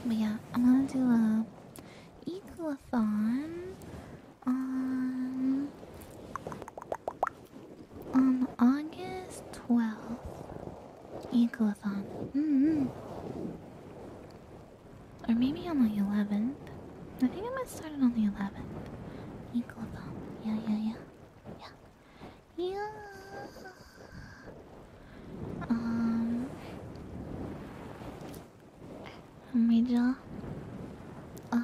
But yeah, I'm gonna do a Ecoathon on on August 12th. Ecoathon. Mm-hmm. Or maybe on the 11th. I think I might start it on the 11th. Equal Yeah, yeah, yeah. Yeah. Yeah. Um. Rachel. Uh.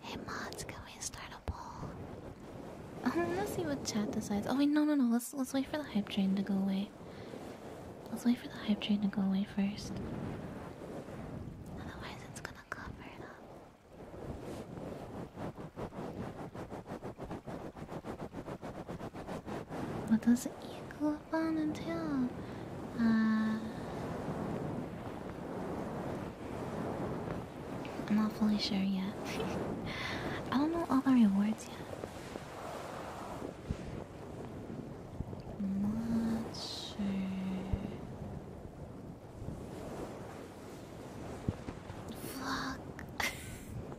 Hey, mods, can we start a poll? let's see what chat decides. Oh wait, no, no, no. Let's let's wait for the hype train to go away, okay. Let's wait for the hype train to go away first. Otherwise, it's gonna cover it up. What does equal fun entail? Uh, I'm not fully sure yet. I don't know all the rewards yet not sure. Fuck.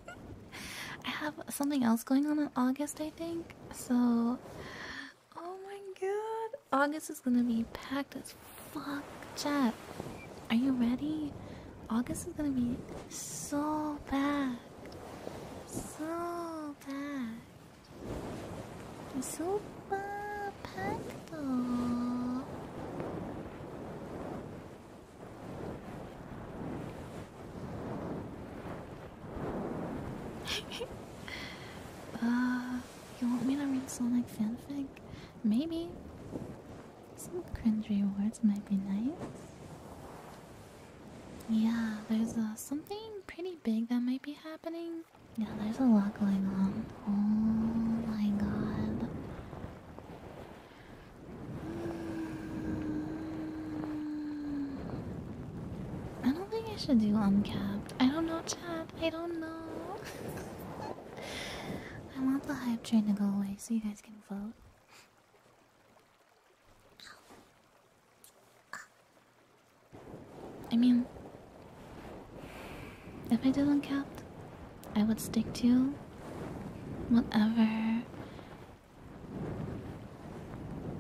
I have something else going on in August, I think. So, oh my god, August is gonna be packed as fuck. Chat, are you ready? August is gonna be so bad. So bad. Super packed up. you want me to read Sonic fanfic? Maybe. Some cringe rewards might be nice. Yeah, there's uh, something pretty big that might be happening. Yeah, there's a lot going on. Oh my god. I don't think I should do uncapped. I don't know, Chad. I don't know. I want the hype train to go away so you guys can vote. I mean, if I didn't count, I would stick to whatever.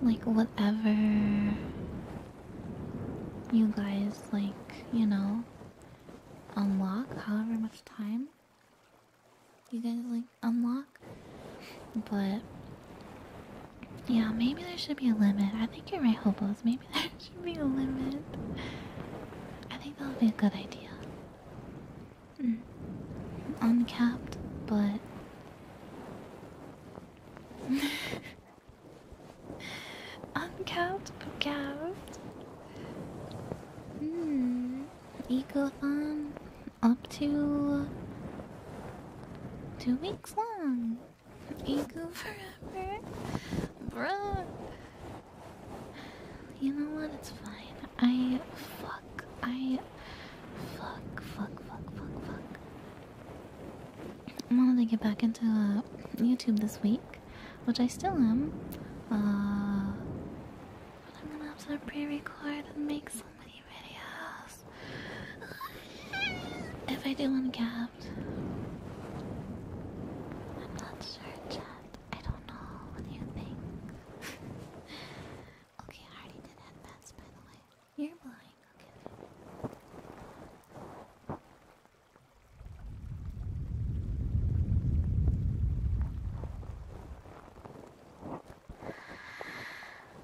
Like, whatever you guys, like, you know, unlock however much time you guys like unlock. But yeah, maybe there should be a limit. I think you're right, hobos. Maybe there should be a limit. I think that would be a good idea. Mm. Uncapped, but. Uncapped, but capped. Hmm. Ecothon up to two weeks long. go forever, bro. You know what? It's fine. I fuck. I fuck. Fuck. Fuck. Fuck. Fuck. I wanted to get back into uh, YouTube this week, which I still am. Uh, but I'm gonna have to pre-record and make so many videos. If I do one cats. I'm not sure, chat. I don't know. What you think? okay, I already did headbands, by the way. You're blind. Okay.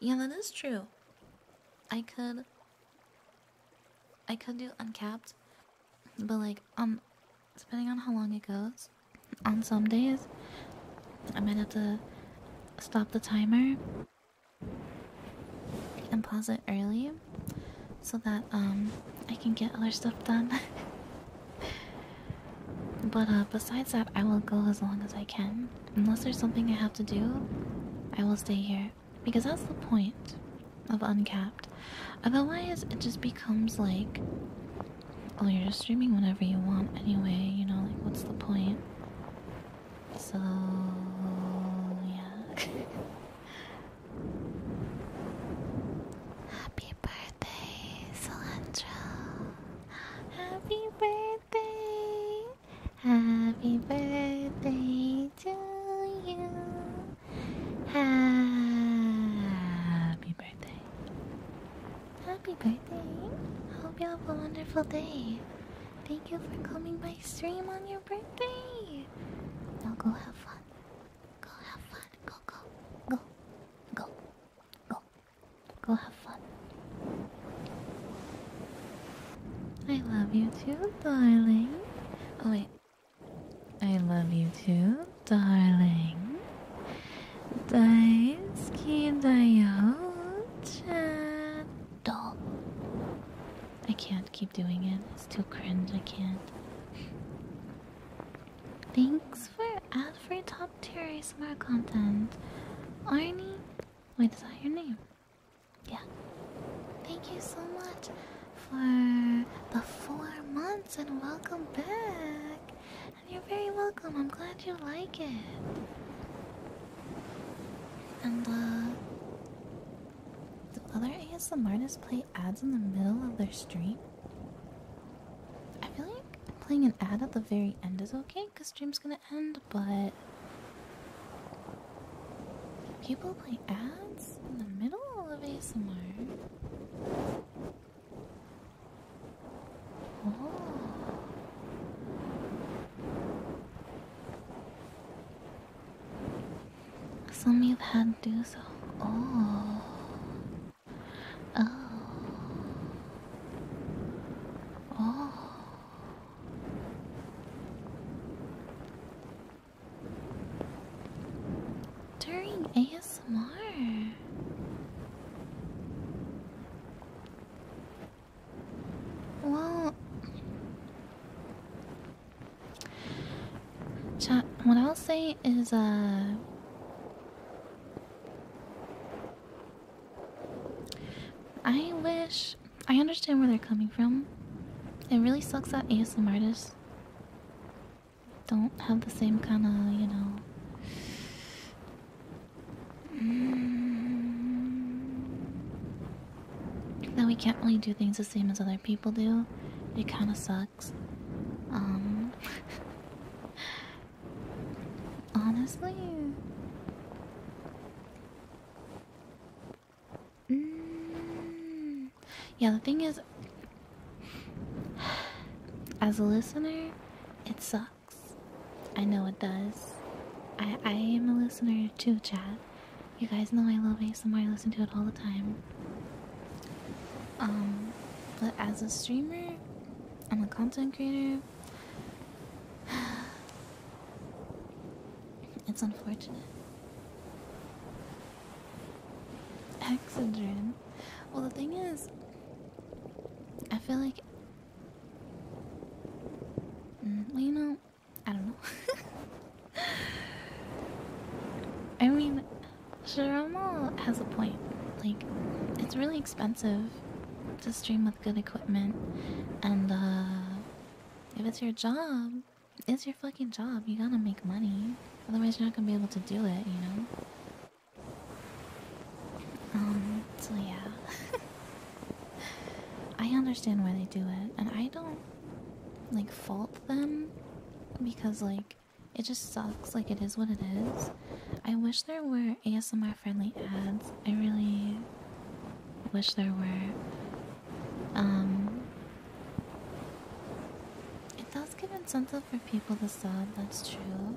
Yeah, that is true. I could. I could do uncapped, but like um, depending on how long it goes, on some days, I might have to stop the timer and pause it early, so that um I can get other stuff done. But uh, besides that, I will go as long as I can. Unless there's something I have to do, I will stay here. Because that's the point of Uncapped. Otherwise, it just becomes like, oh, you're just streaming whenever you want anyway, you know, like, what's the point? So, yeah. Happy birthday, Cilantro. Happy birthday, happy birthday to you. Happy birthday. Happy birthday. Hope you have a wonderful day. Thank you for coming by stream on your birthday. Now go have fun. Go have fun. Go, go, go, go. Oh, go have fun. I love you too, darling. Oh, wait. I love you too, darling. Daisuki Dayo-chan. I can't keep doing it. It's too cringe. I can't. Thanks for every advertising top tier ASMR content. Arnie, wait, is that your name? Yeah. Thank you so much for the four months and welcome back. And you're very welcome. I'm glad you like it. And uh, The other ASMRs play ads in the middle of their stream? I feel like playing an ad at the very end is okay because stream's gonna end, but people play ads in the middle of ASMR. Oh. Some you've had do so. Oh. Oh. Oh. During ASMR. Well, chat. What I'll say is, uh, I wish I understand where they're coming from. It really sucks that ASM artists don't have the same kind of, you know. Mm. that we can't really do things the same as other people do. It kind of sucks. Um, Honestly. Mm. Yeah, the thing is, as a listener, it sucks. I know it does. I, I am a listener too, chat. You guys know I love it ASMR, I listen to it all the time. Um, but as a streamer, I'm a content creator. It's unfortunate. Hexadrin. Well, the thing is, I feel like. Mm, well, you know, I don't know. I mean, Sharamal has a point. Like, it's really expensive to stream with good equipment. And uh, if it's your job, it's your fucking job. You gotta make money. Otherwise, you're not gonna be able to do it, you know? Um, so yeah. I understand why they do it, and I don't like fault them because, like, it just sucks. Like, it is what it is. I wish there were more ASMR friendly ads. I really wish there were. Um, it does give incentive for people to sub, that's true.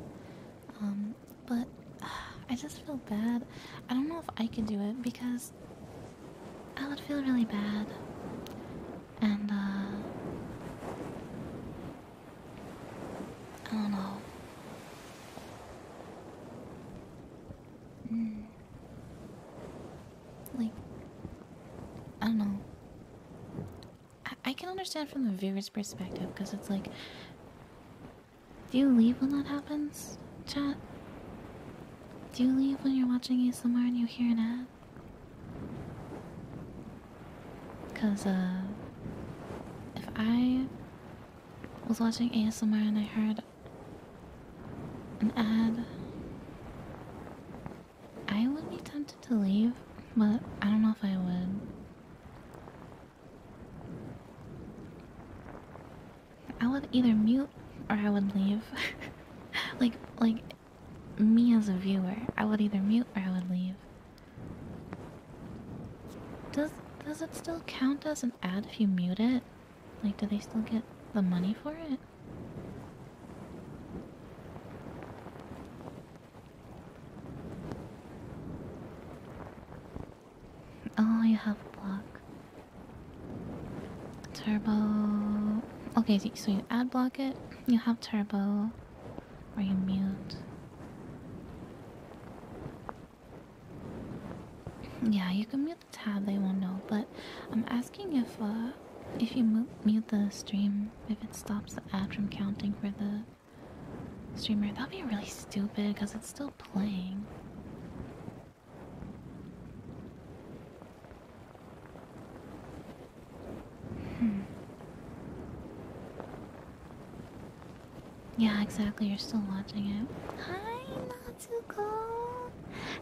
Um, but I just feel bad. I don't know if I could do it because I would feel really bad. And, uh, I don't know. Hmm. Like, I don't know. I, can understand from the viewer's perspective because it's like, do you leave when that happens, chat? Do you leave when you're watching ASMR and you hear an ad? Because, uh, if I was watching ASMR and I heard an ad, I would be tempted to leave, but I don't know if I would. I would either mute or I would leave. like, like, me as a viewer, I would either mute or I would leave. Does does it still count as an ad if you mute it? Like, do they still get the money for it? Oh, you have a block. Turbo. Okay, so you ad block it. You have turbo. Are you mute. Yeah, you can mute the tab; they won't know. But I'm asking if uh, if you mute, mute the stream, if it stops the ad from counting for the streamer, that'd be really stupid because it's still playing. Hmm. Yeah, exactly. You're still watching it. Hi, Natsuko.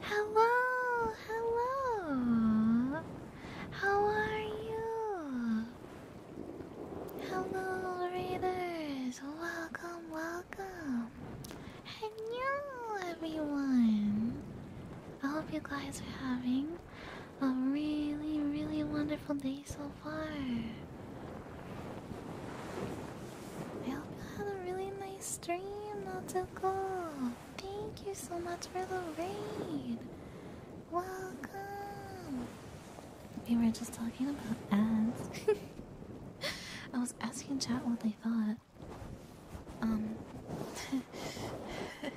Hello, hello. How are you? Hello, readers. Welcome, welcome. Hello, everyone. I hope you guys are having a really, really wonderful day so far. I hope you had a really nice dream, Natsuko. Thank you so much for the raid. Welcome. We were just talking about ads. I was asking chat what they thought. Um.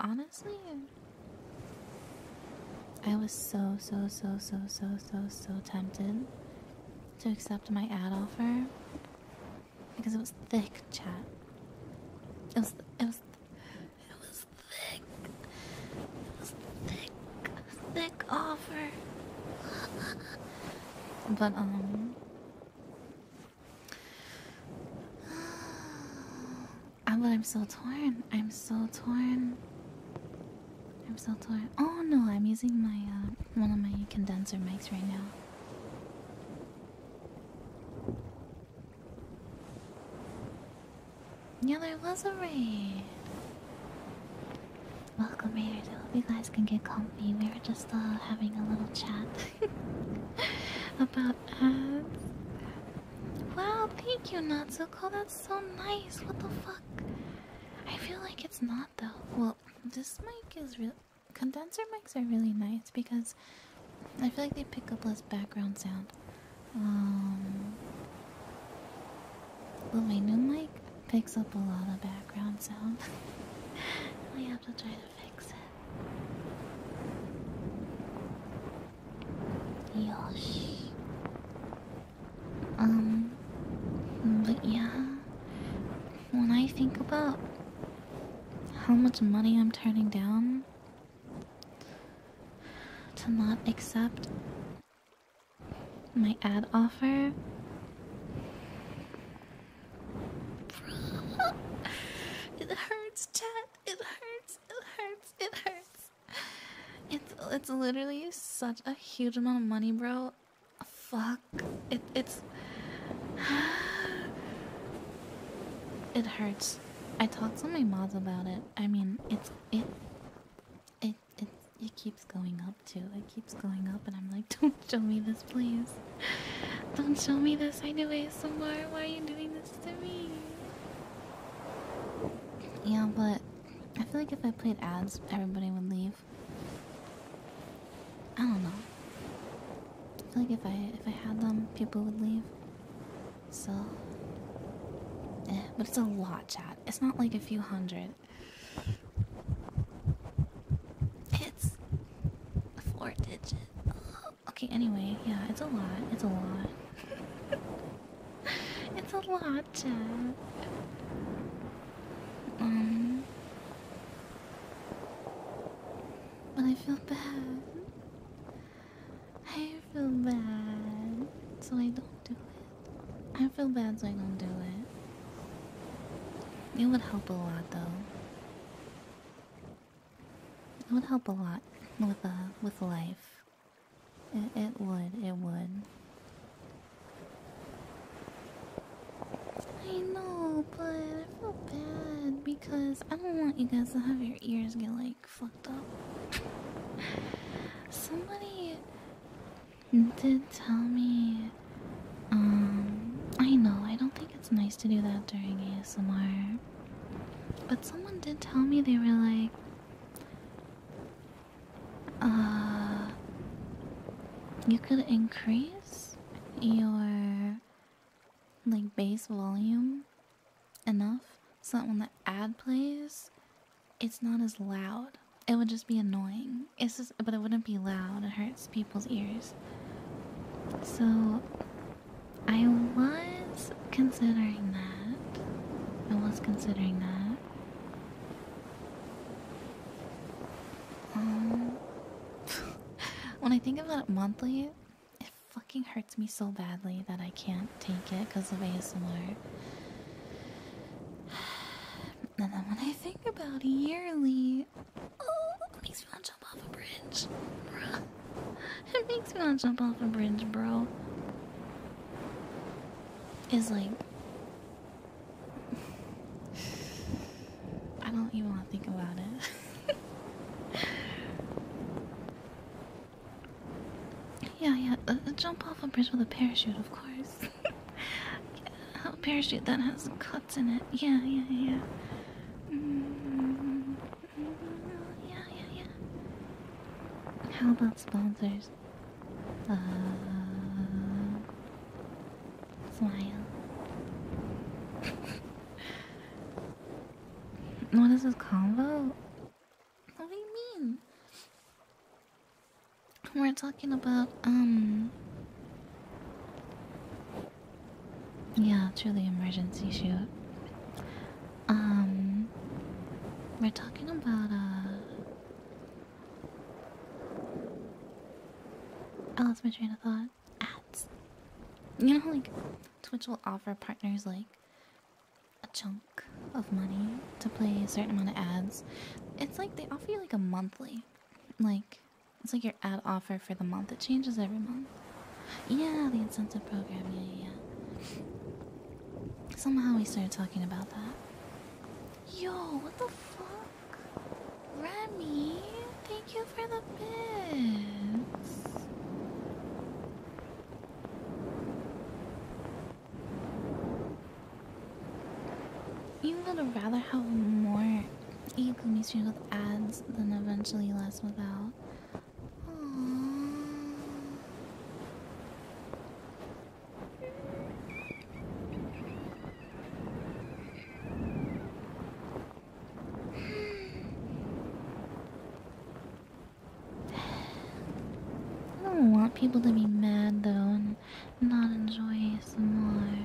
honestly, I was so, so, so, so, so, so, so tempted to accept my ad offer because it was thick chat. It was, it was, it was thick. It was thick, thick offer. but, um, uh, but I'm so torn. I'm so torn. I'm so torn. Oh no, I'm using my uh, one of my condenser mics right now. Yeah, there was a raid. Welcome, raiders. I hope you guys can get comfy. We were just uh, having a little chat about ads. Wow, thank you, Natsuko. That's so nice. What the fuck? I feel like it's not though. Well, this mic is real. Condenser mics are really nice because I feel like they pick up less background sound. Um, but my new mic picks up a lot of background sound. I have to try to fix it. よし um but yeah when I think about how much money I'm turning down to not accept my ad offer it hurts, Chad. It hurts. It hurts. It hurts. It's it's literally such a huge amount of money, bro. Fuck. It it's It hurts. I talked to my mods about it. I mean, it's it it it keeps going up too. It keeps going up and I'm like, don't show me this please. Don't show me this. I do ASMR. Why are you doing this yeah, but I feel like if I played ads, everybody would leave. I don't know. I feel like if I if I had them, people would leave. So, eh, but it's a lot, chat. It's not like a few hundred. It's four digit. Okay, anyway, yeah, it's a lot. It's a lot. it's a lot, Jack. Um, but I feel bad. I feel bad, so I don't do it. I feel bad, so I don't do it. It would help a lot, though. It would help a lot with uh, with life. It, it would, it would. I know, but I feel bad because I don't want you guys to have your ears get like fucked up. Somebody did tell me. Um, I know, I don't think it's nice to do that during ASMR. But someone did tell me they were like, uh, you could increase your like bass volume enough so that when the ad plays, it's not as loud. It would just be annoying. It's but it wouldn't be loud. It hurts people's ears. So, I was considering that. I was considering that. Um, when I think about monthly, it fucking hurts me so badly that I can't take it because of ASMR. And then when I think about yearly, oh, it makes me want to jump off a bridge it makes me want to jump off a bridge, bro. It's like I don't even want to think about it. yeah, yeah, uh, uh, jump off a bridge with a parachute, of course. a parachute that has cuts in it. Yeah, yeah, yeah. Mm-hmm. Mm-hmm. Mm-hmm. Yeah, yeah, yeah. How about sponsors? Uh, smile. what is this convo? What do you mean? We're talking about, um... Yeah, truly emergency shoot. Um, we're talking about uh, I lost my train of thought. Ads. You know, like Twitch will offer partners like a chunk of money to play a certain amount of ads. It's like they offer you like a monthly, like it's like your ad offer for the month. It changes every month. Yeah, the incentive program. Yeah, yeah. Somehow we started talking about that. Yo, what the fuck? Remy, thank you for the bits. You would rather have more Igumi's with ads than eventually less without. I don't want people to be mad though and not enjoy ASMR.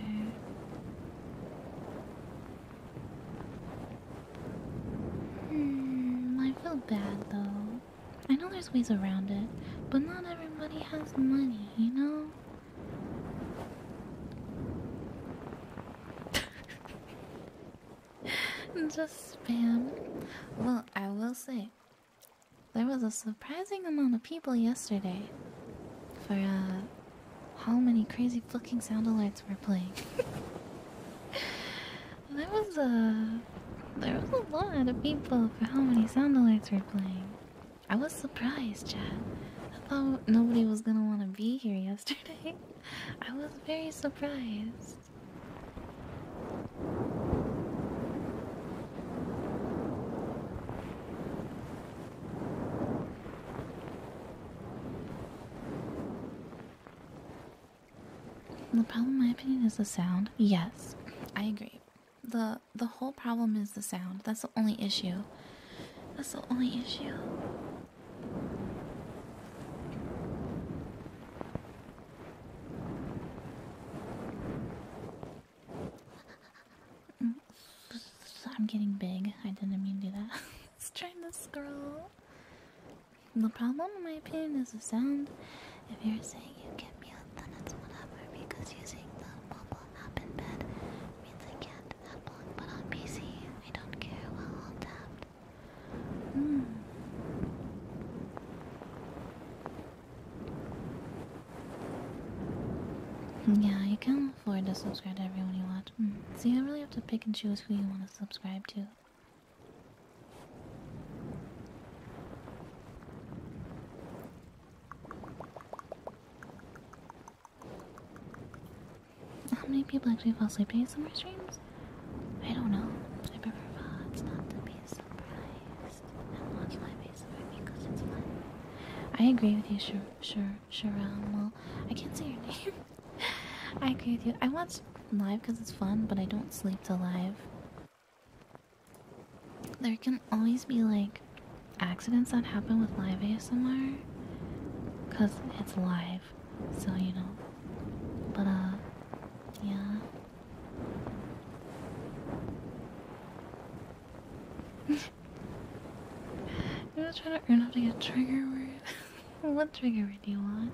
Hmm, I feel bad though. I know there's ways around it, but not everybody has money, you know? Just spam. Well, I will say, there was a surprising amount of people yesterday for uh, how many crazy fucking sound alerts were playing. There was a there was a lot of people for how many sound alerts were playing. I was surprised, Chad. I thought nobody was gonna want to be here yesterday. I was very surprised. The problem, in my opinion, is the sound. Yes, I agree. the The whole problem is the sound. That's the only issue. That's the only issue. I'm getting big. I didn't mean to do that. Let's try and scroll. The problem, in my opinion, is the sound. If you're saying you can mute, then it's whatever, because using the mobile app in bed means I can't have one, but on PC, I don't care while i tapped. Hmm. Yeah, you can afford to subscribe to everyone you watch. Hmm. See, I really have to pick and choose who you want to subscribe to. How many people actually fall asleep during summer streams? I don't know. I prefer VODs I agree with you, Sh Sh Sharam. Well, I can't say your name. I agree with you. I watch live because it's fun, but I don't sleep to live. There can always be like accidents that happen with live ASMR because it's live, so you know. But, uh, yeah. you was trying to earn up to get trigger word. what trigger word do you want?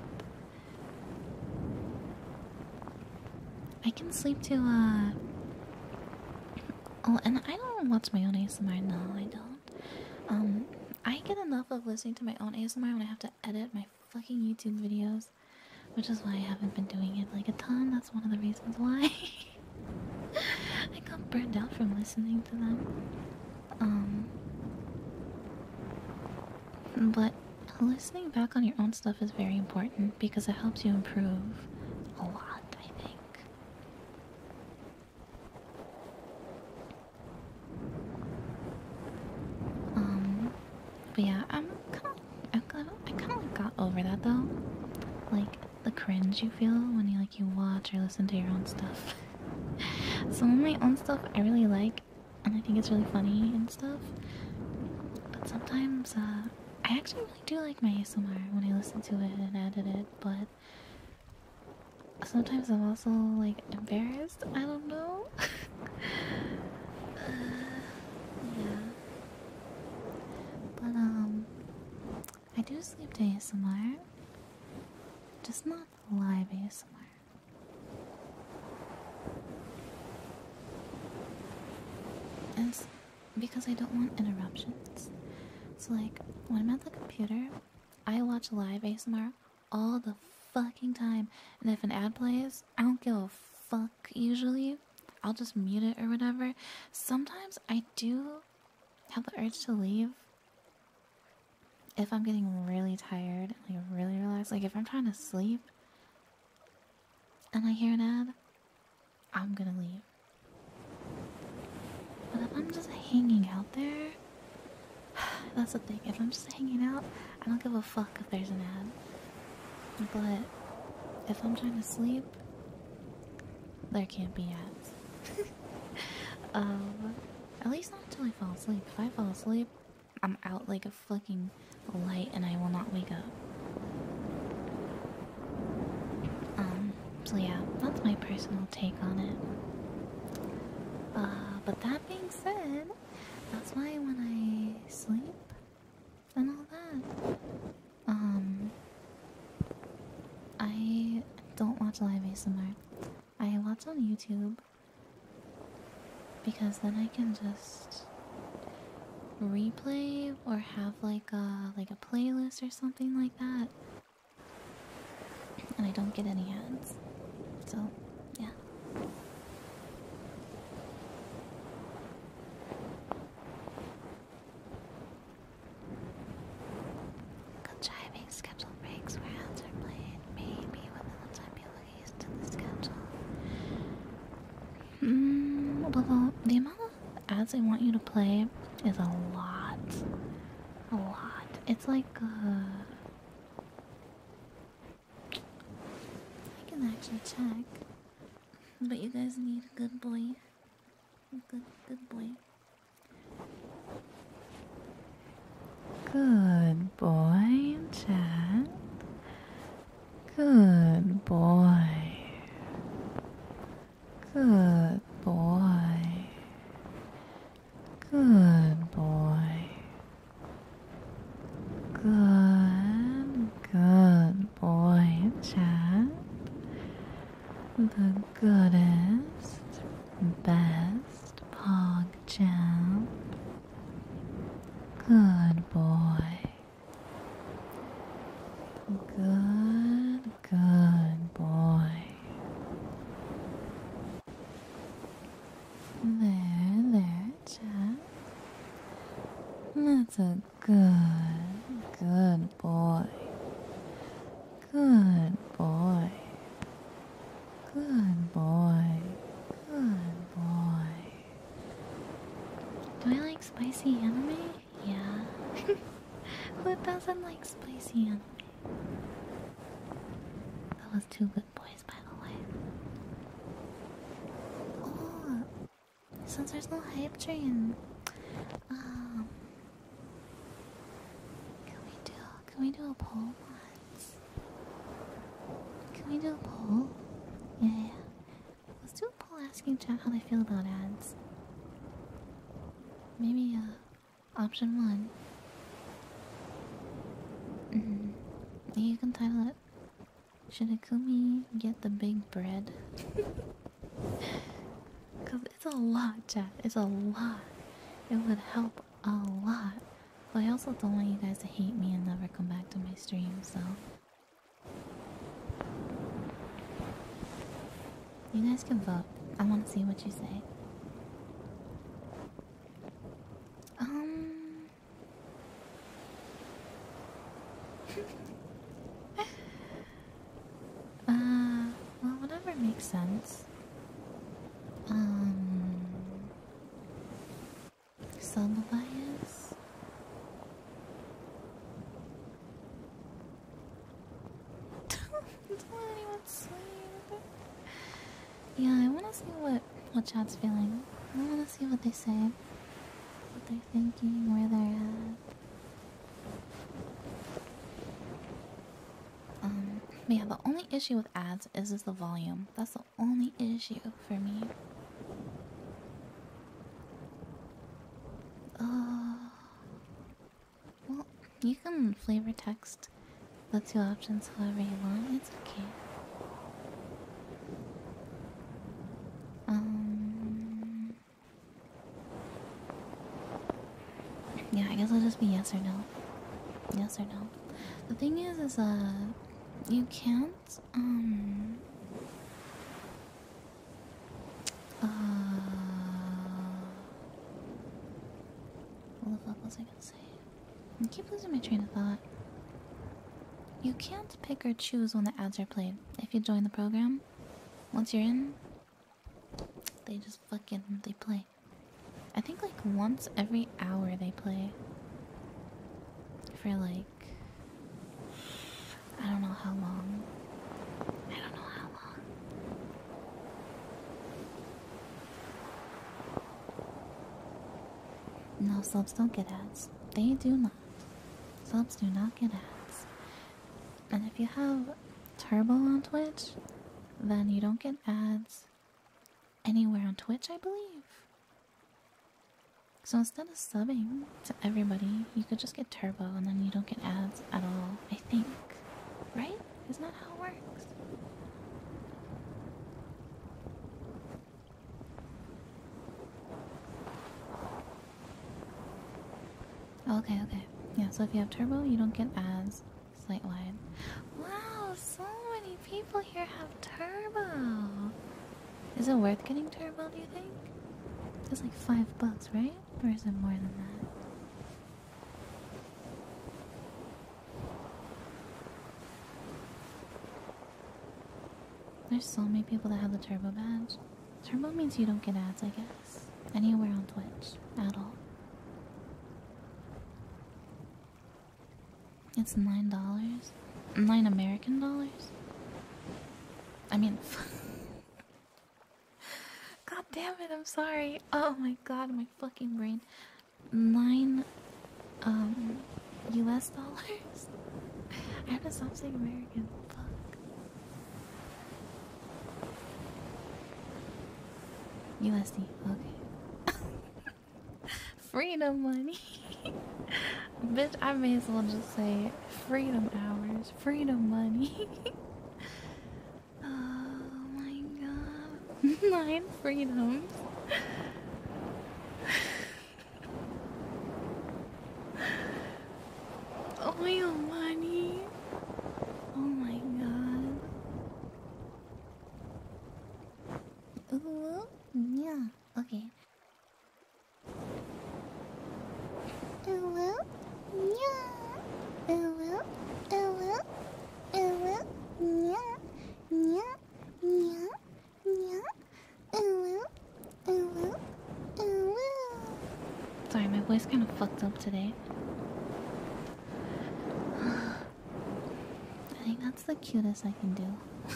I can sleep to, uh. Oh, and I don't watch my own ASMR. No, I don't. Um, I get enough of listening to my own ASMR when I have to edit my fucking YouTube videos, which is why I haven't been doing it like a ton. That's one of the reasons why. I got burned out from listening to them. Um. But listening back on your own stuff is very important because it helps you improve a lot, I think. Um, but yeah, I'm kind of, I kind of got over that though. Like the cringe you feel when you like you watch or listen to your own stuff. Some of my own stuff I really like, and I think it's really funny and stuff. But sometimes, uh, I actually really do like my ASMR when I listen to it and edit it, but sometimes I'm also like embarrassed. I don't know. Uh, yeah. But, um, I do sleep to ASMR, just not live ASMR. It's because I don't want interruptions. So, like, when I'm at the computer, I watch live ASMR all the fucking time. And if an ad plays, I don't give a fuck usually. I'll just mute it or whatever. Sometimes I do have the urge to leave if I'm getting really tired, like really relaxed. Like, if I'm trying to sleep, and I hear an ad, I'm gonna leave. But if I'm just hanging out there, that's the thing. If I'm just hanging out, I don't give a fuck if there's an ad. But if I'm trying to sleep, there can't be ads. um, at least not until I fall asleep. If I fall asleep, I'm out like a Flicking the light and I will not wake up. Um, so yeah, that's my personal take on it. Uh, but that being said, that's why when I sleep and all that, um, I don't watch live ASMR. I watch on YouTube because then I can just replay or have like a like a playlist or something like that and I don't get any ads so yeah Contriving scheduled breaks where ads are played, maybe within the time you placed in the schedule. Mm, the, amount of ads I want you to play is a lot. A lot. It's like, uh, I can actually check. But you guys need a good boy. Good, good boy. Good boy, Chad. Good boy. Good boy. Good boy. Good, good boy, Chad. The goodest, best Pog Good boy. Good, good boy. There, there, Jack. That's a good, good boy. Good boy. Good boy. Good boy. Do I like spicy anime? Yeah. Who doesn't like spicy anime? That two good boys, by the way. Oh, since there's no hype train, um, can we do? a poll once? Can we do a poll? yeah. Let's do a poll asking chat how they feel about ads. Maybe uh, option one. Mm-hmm. You can title it. Should Akumi get the big bread? Cause it's a lot, chat. It's a lot. It would help a lot. But I also don't want you guys to hate me and never come back to my stream, so you guys can vote. I want to see what you say. Um. uh, well, whatever makes sense. Um. Sunbias. That's what anyone's saying. Yeah, I wanna see what what Chad's feeling. I wanna see what they say, what they're thinking, where they're at. Um, yeah, the only issue with ads is is the volume. That's the only issue for me. Uh, well, you can flavor text the two options however you want. It's okay. Um. Yeah, I guess it'll just be yes or no. Yes or no. The thing is, is uh, you can um uh what the fuck I going say? I keep losing my train of thought. You can't pick or choose when the ads are played if you join the program. Once you're in, they just fucking they play. I think like once every hour they play. For like I don't know how long. I don't know how long. No, subs don't get ads. They do not. Subs do not get ads. And if you have Turbo on Twitch, then you don't get ads anywhere on Twitch, I believe. So instead of subbing to everybody, you could just get turbo and then you don't get ads at all, I think. Right? Isn't that how it works? Okay, okay. Yeah, so if you have turbo, you don't get ads slight wide. Wow, so many people here have turbo. Is it worth getting turbo, do you think? It's like five bucks, right? Or is it more than that? There's so many people that have the turbo badge. Turbo means you don't get ads, I guess. Anywhere on Twitch. At all. It's $9. Nine American dollars? I mean, god damn it, I'm sorry. Oh my god, my fucking brain. Nine, um, US dollars? I have to stop saying American. Fuck. USD, okay. freedom money. Bitch, I may as well just say freedom hours, freedom money. oh my god. Nine freedoms. Oil money. Oh my god. Ooh, yeah. Okay. Sorry, my voice kind of fucked up today. I think that's the cutest I can do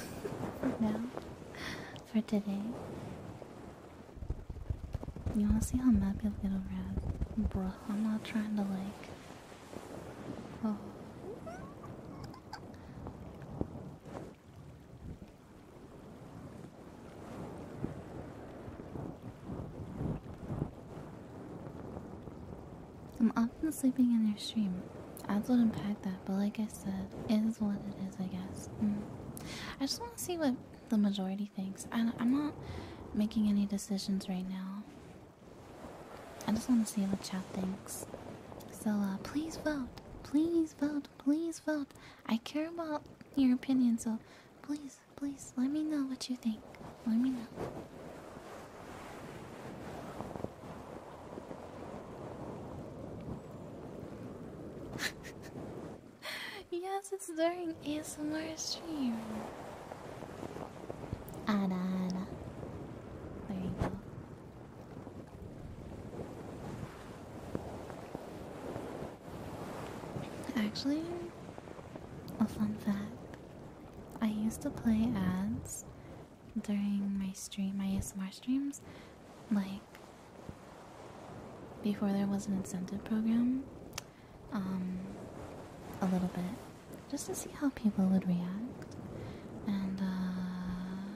for now for today. You wanna see how I'm happy with little rat? Bruh, I'm not trying to like. Oh. I'm often sleeping in your stream. I will unpack that, but like I said, it is what it is, I guess. Mm. I just want to see what the majority thinks. I, am not making any decisions right now. I just want to see what Chad thinks. So uh, please vote. Please vote. Please vote. I care about your opinion, so please, please let me know what you think. Let me know. yes, it's during ASMR stream. Ada, ada. There you go. Actually, a fun fact. I used to play ads during my stream, my ASMR streams, like before there was an incentive program, um, a little bit, just to see how people would react. And uh,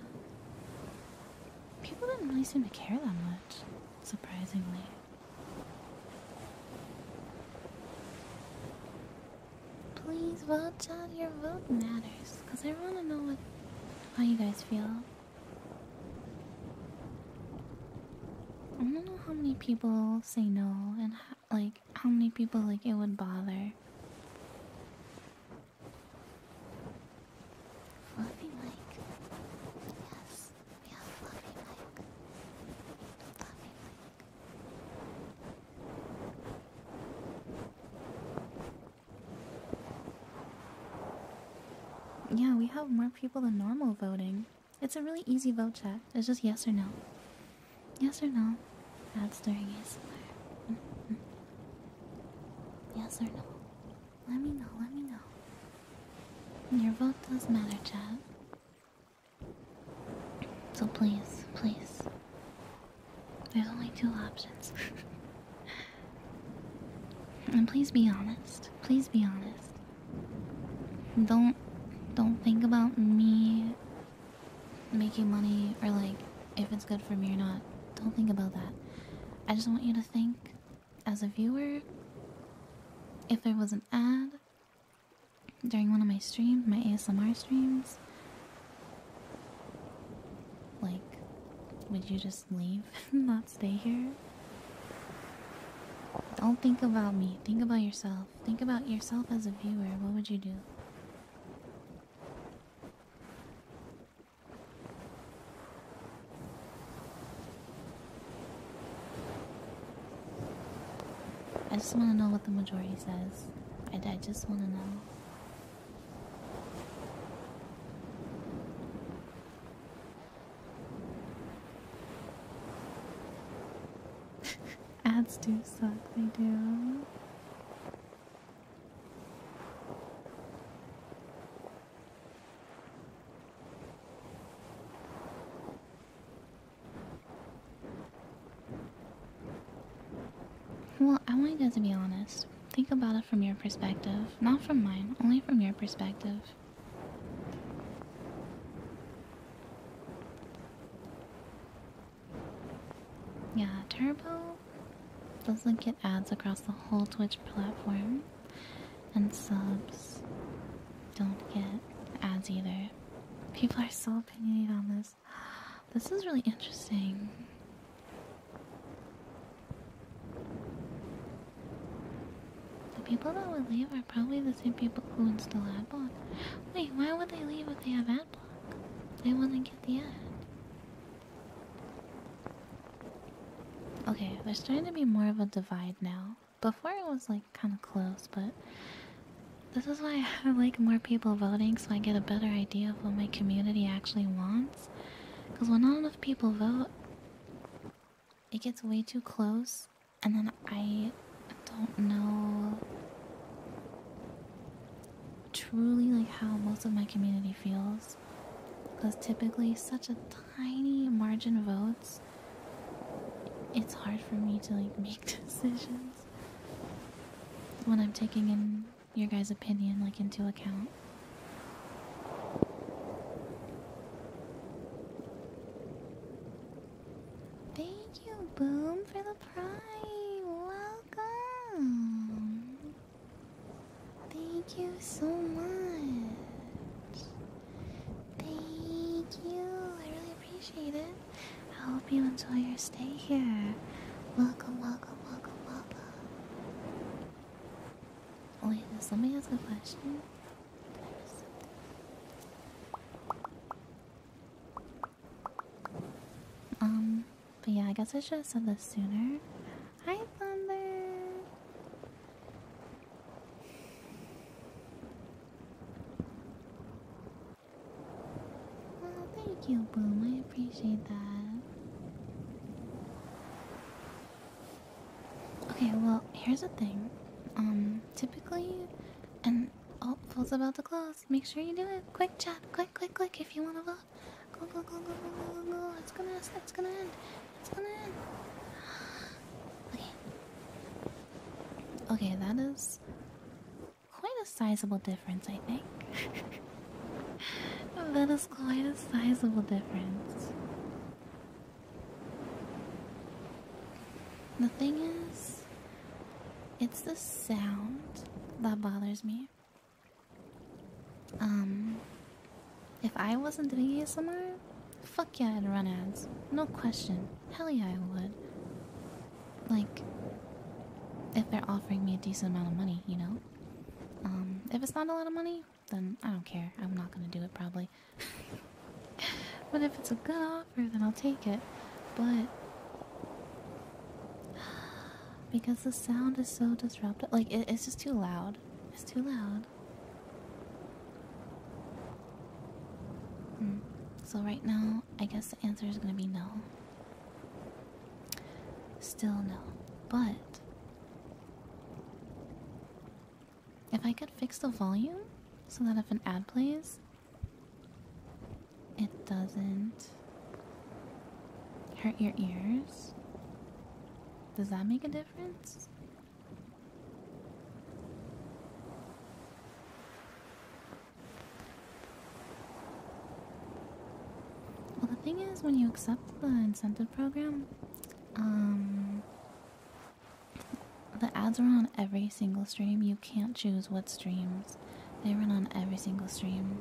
people didn't really seem to care that much, surprisingly. Please vote, John. Your vote matters, cause I want to know what how you guys feel. I don't know how many people say no and like how many people like it would bother. Yeah, we have more people than normal voting. It's a really easy vote chat. It's just yes or no. Yes or no. That's during ASMR. Mm mm-hmm. Yes or no. Let me know, let me know. Your vote does matter, chat. So please, please. There's only two options. And please be honest. Please be honest. Don't don't think about me making money or like if it's good for me or not. Don't think about that. I just want you to think as a viewer if there was an ad during one of my streams, my ASMR streams, like would you just leave? not stay here. Don't think about me. Think about yourself. Think about yourself as a viewer. What would you do? I just want to know what the majority says. I just want to know. Ads do suck, they do. Well, I want you guys to be honest. Think about it from your perspective, not from mine, only from your perspective. Yeah, Turbo doesn't get ads across the whole Twitch platform, and subs don't get ads either. People are still opinionated on this. This is really interesting. The people that would leave are probably the same people who install ad block. Wait, why would they leave if they have ad block? They want to get the ad. Okay, there's starting to be more of a divide now. Before it was like kind of close, but this is why I like more people voting so I get a better idea of what my community actually wants. Because when all people vote, it gets way too close, and then I don't know truly like how most of my community feels because typically such a tiny margin of votes it's hard for me to like make decisions when i'm taking in your guys' opinion like into account. Thank you, Boom, for the prize. Welcome. Thank you so much. Thank you. I really appreciate it. I hope you enjoy your stay here. Welcome, welcome, welcome, welcome. Oh, wait, does somebody ask a question? Um, but yeah, I guess I should have said this sooner. Hi, Thunder! thank you, Boom. I appreciate that. Okay, well, here's the thing. Um, typically, and oh, Full's about to close. Make sure you do it. Quick chat, quick, quick, quick. If you want to vote, go, go, go, go, go, go, go. It's gonna, it's gonna end. It's gonna end. Okay. Okay, that is quite a sizable difference, I think. that is quite a sizable difference. The thing is, it's the sound that bothers me. Um, if I wasn't doing ASMR, fuck yeah, I'd run ads. No question. Hell yeah, I would. Like, if they're offering me a decent amount of money, you know? Um, if it's not a lot of money, then I don't care. I'm not gonna do it probably. but if it's a good offer, then I'll take it. But because the sound is so disruptive, like it's just too loud. It's too loud. Hmm. So right now, I guess the answer is gonna be no. Still no, but if I could fix the volume so that if an ad plays, it doesn't hurt your ears, does that make a difference? Well, the thing is, when you accept the incentive program, um, the ads run on every single stream. You can't choose what streams. They run on every single stream.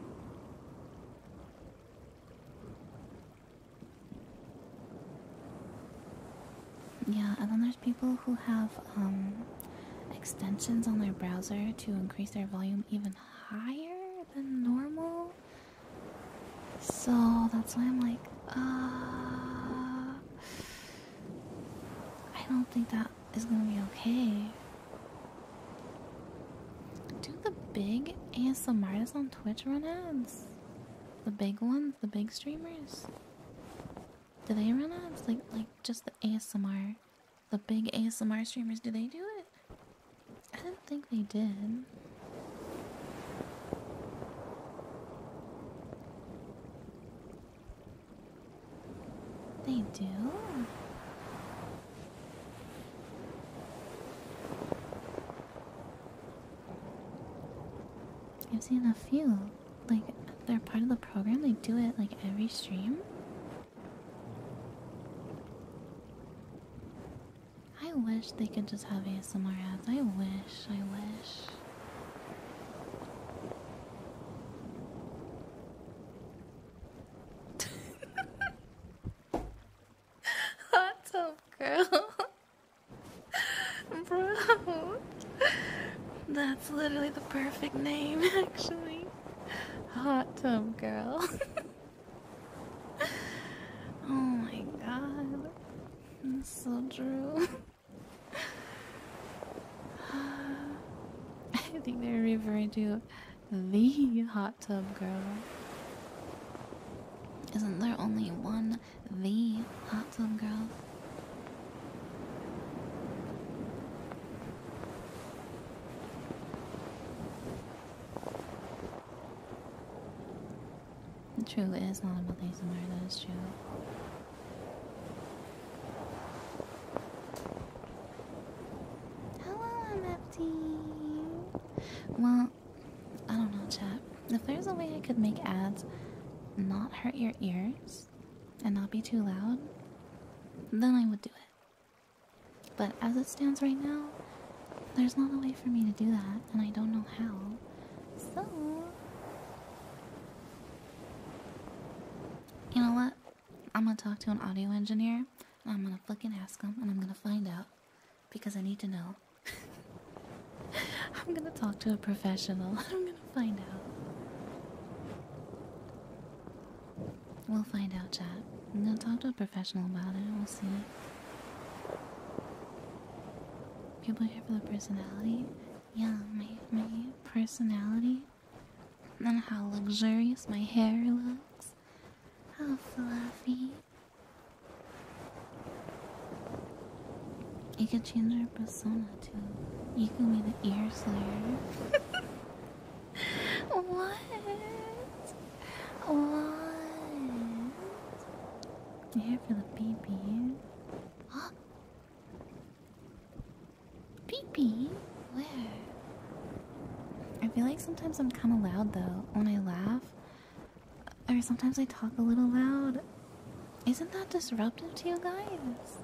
Yeah, and then there's people who have um, extensions on their browser to increase their volume even higher than normal. So that's why I'm like, uh, I don't think that is gonna be okay. Do the big ASM artists on Twitch run ads? The big ones, the big streamers? Do they run ads? Like, like just the ASMR, the big ASMR streamers, do they do it? I don't think they did. They do? I've seen a few. Like, they're part of the program, they do it like every stream. I wish they could just have ASMR ads. I wish, I wish. Hot tub girl, bro. That's literally the perfect name, actually. Hot tub girl. oh my god. That's so true. I think they're referring to the hot tub girl. Isn't there only one the hot tub girl? It truly is not about these and that is true. Hello, I'm empty. Well, I don't know, chat. If there's a way I could make ads not hurt your ears and not be too loud, then I would do it. But as it stands right now, there's not a way for me to do that, and I don't know how. So. You know what? I'm gonna talk to an audio engineer, and I'm gonna fucking ask him, and I'm gonna find out. Because I need to know. I'm gonna talk to a professional. I'm gonna find out. We'll find out, chat. I'm gonna talk to a professional about it. We'll see. People here for the personality? Yeah, my, my personality. And how luxurious my hair looks. How fluffy. You can change your persona too. You can be the ear slayer. what? What? You're for the baby. Huh? pee Where? I feel like sometimes I'm kind of loud though when I laugh. Or sometimes I talk a little loud. Isn't that disruptive to you guys?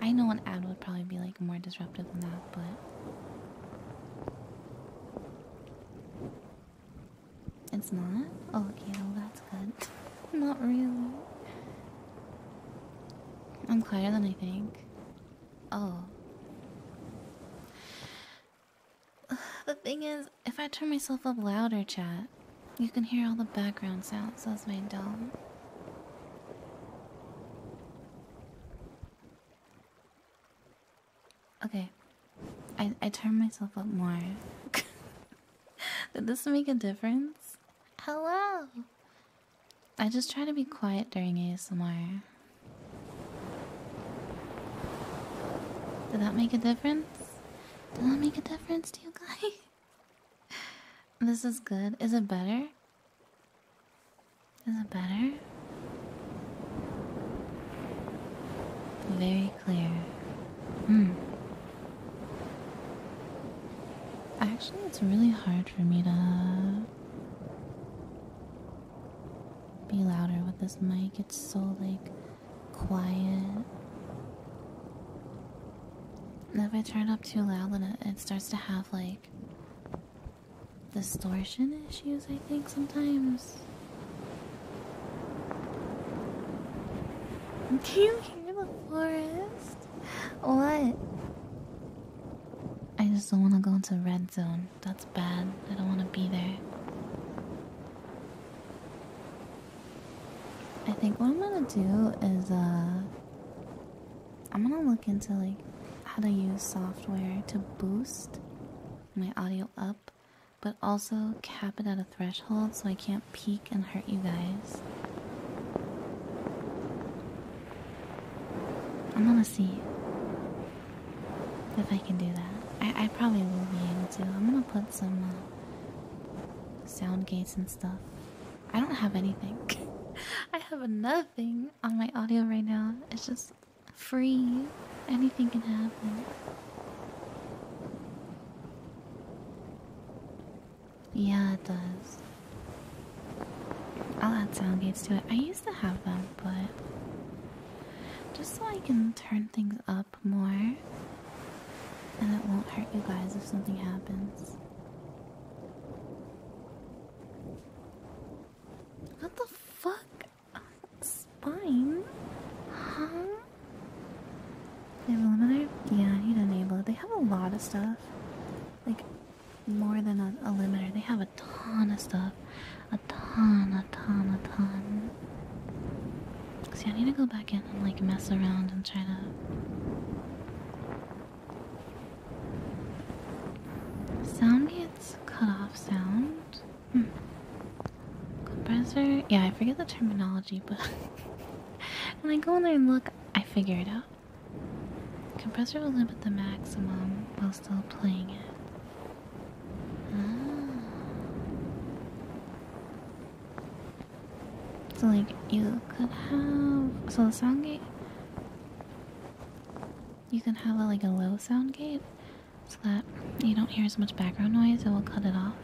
I know an ad would probably be like more disruptive than that, but. It's not? Oh, okay, well, that's good. not really. I'm quieter than I think. Oh. The thing is, if I turn myself up louder, chat, you can hear all the background sounds. That's my dome. Okay. I I turn myself up more. Did this make a difference? Hello. I just try to be quiet during ASMR. Did that make a difference? Did that make a difference to you guys? this is good. Is it better? Is it better? Very clear. Hmm. Actually, it's really hard for me to be louder with this mic. It's so, like, quiet. And if I turn it up too loud, then it starts to have, like, distortion issues, I think, sometimes. Do you hear the forest? What? I just don't want to go into red zone. That's bad. I don't want to be there. I think what I'm gonna do is, uh, I'm gonna look into like how to use software to boost my audio up but also cap it at a threshold so I can't peek and hurt you guys. I'm gonna see if I can do that. I, probably will be able to. I'm gonna put some uh, sound gates and stuff. I don't have anything. I have nothing on my audio right now. It's just free, anything can happen. Yeah, it does. I'll add sound gates to it. I used to have them, but just so I can turn things up more and it won't hurt you guys if something happens. What the fuck? spine? Huh? They have a limiter? Yeah, I need an enabler. They have a lot of stuff. Like, more than a limiter. They have a ton of stuff. A ton, a ton, a ton. See, I need to go back in and, like, mess around and try to... Sound gets cut off sound. Compressor? Yeah, I forget the terminology, but when I go in there and look, I figure it out. Compressor will limit the maximum while still playing it. Ah. So, like, you could have. So, the sound gate. You can have like a low sound gate, so that you don't hear as much background noise, it will cut it off.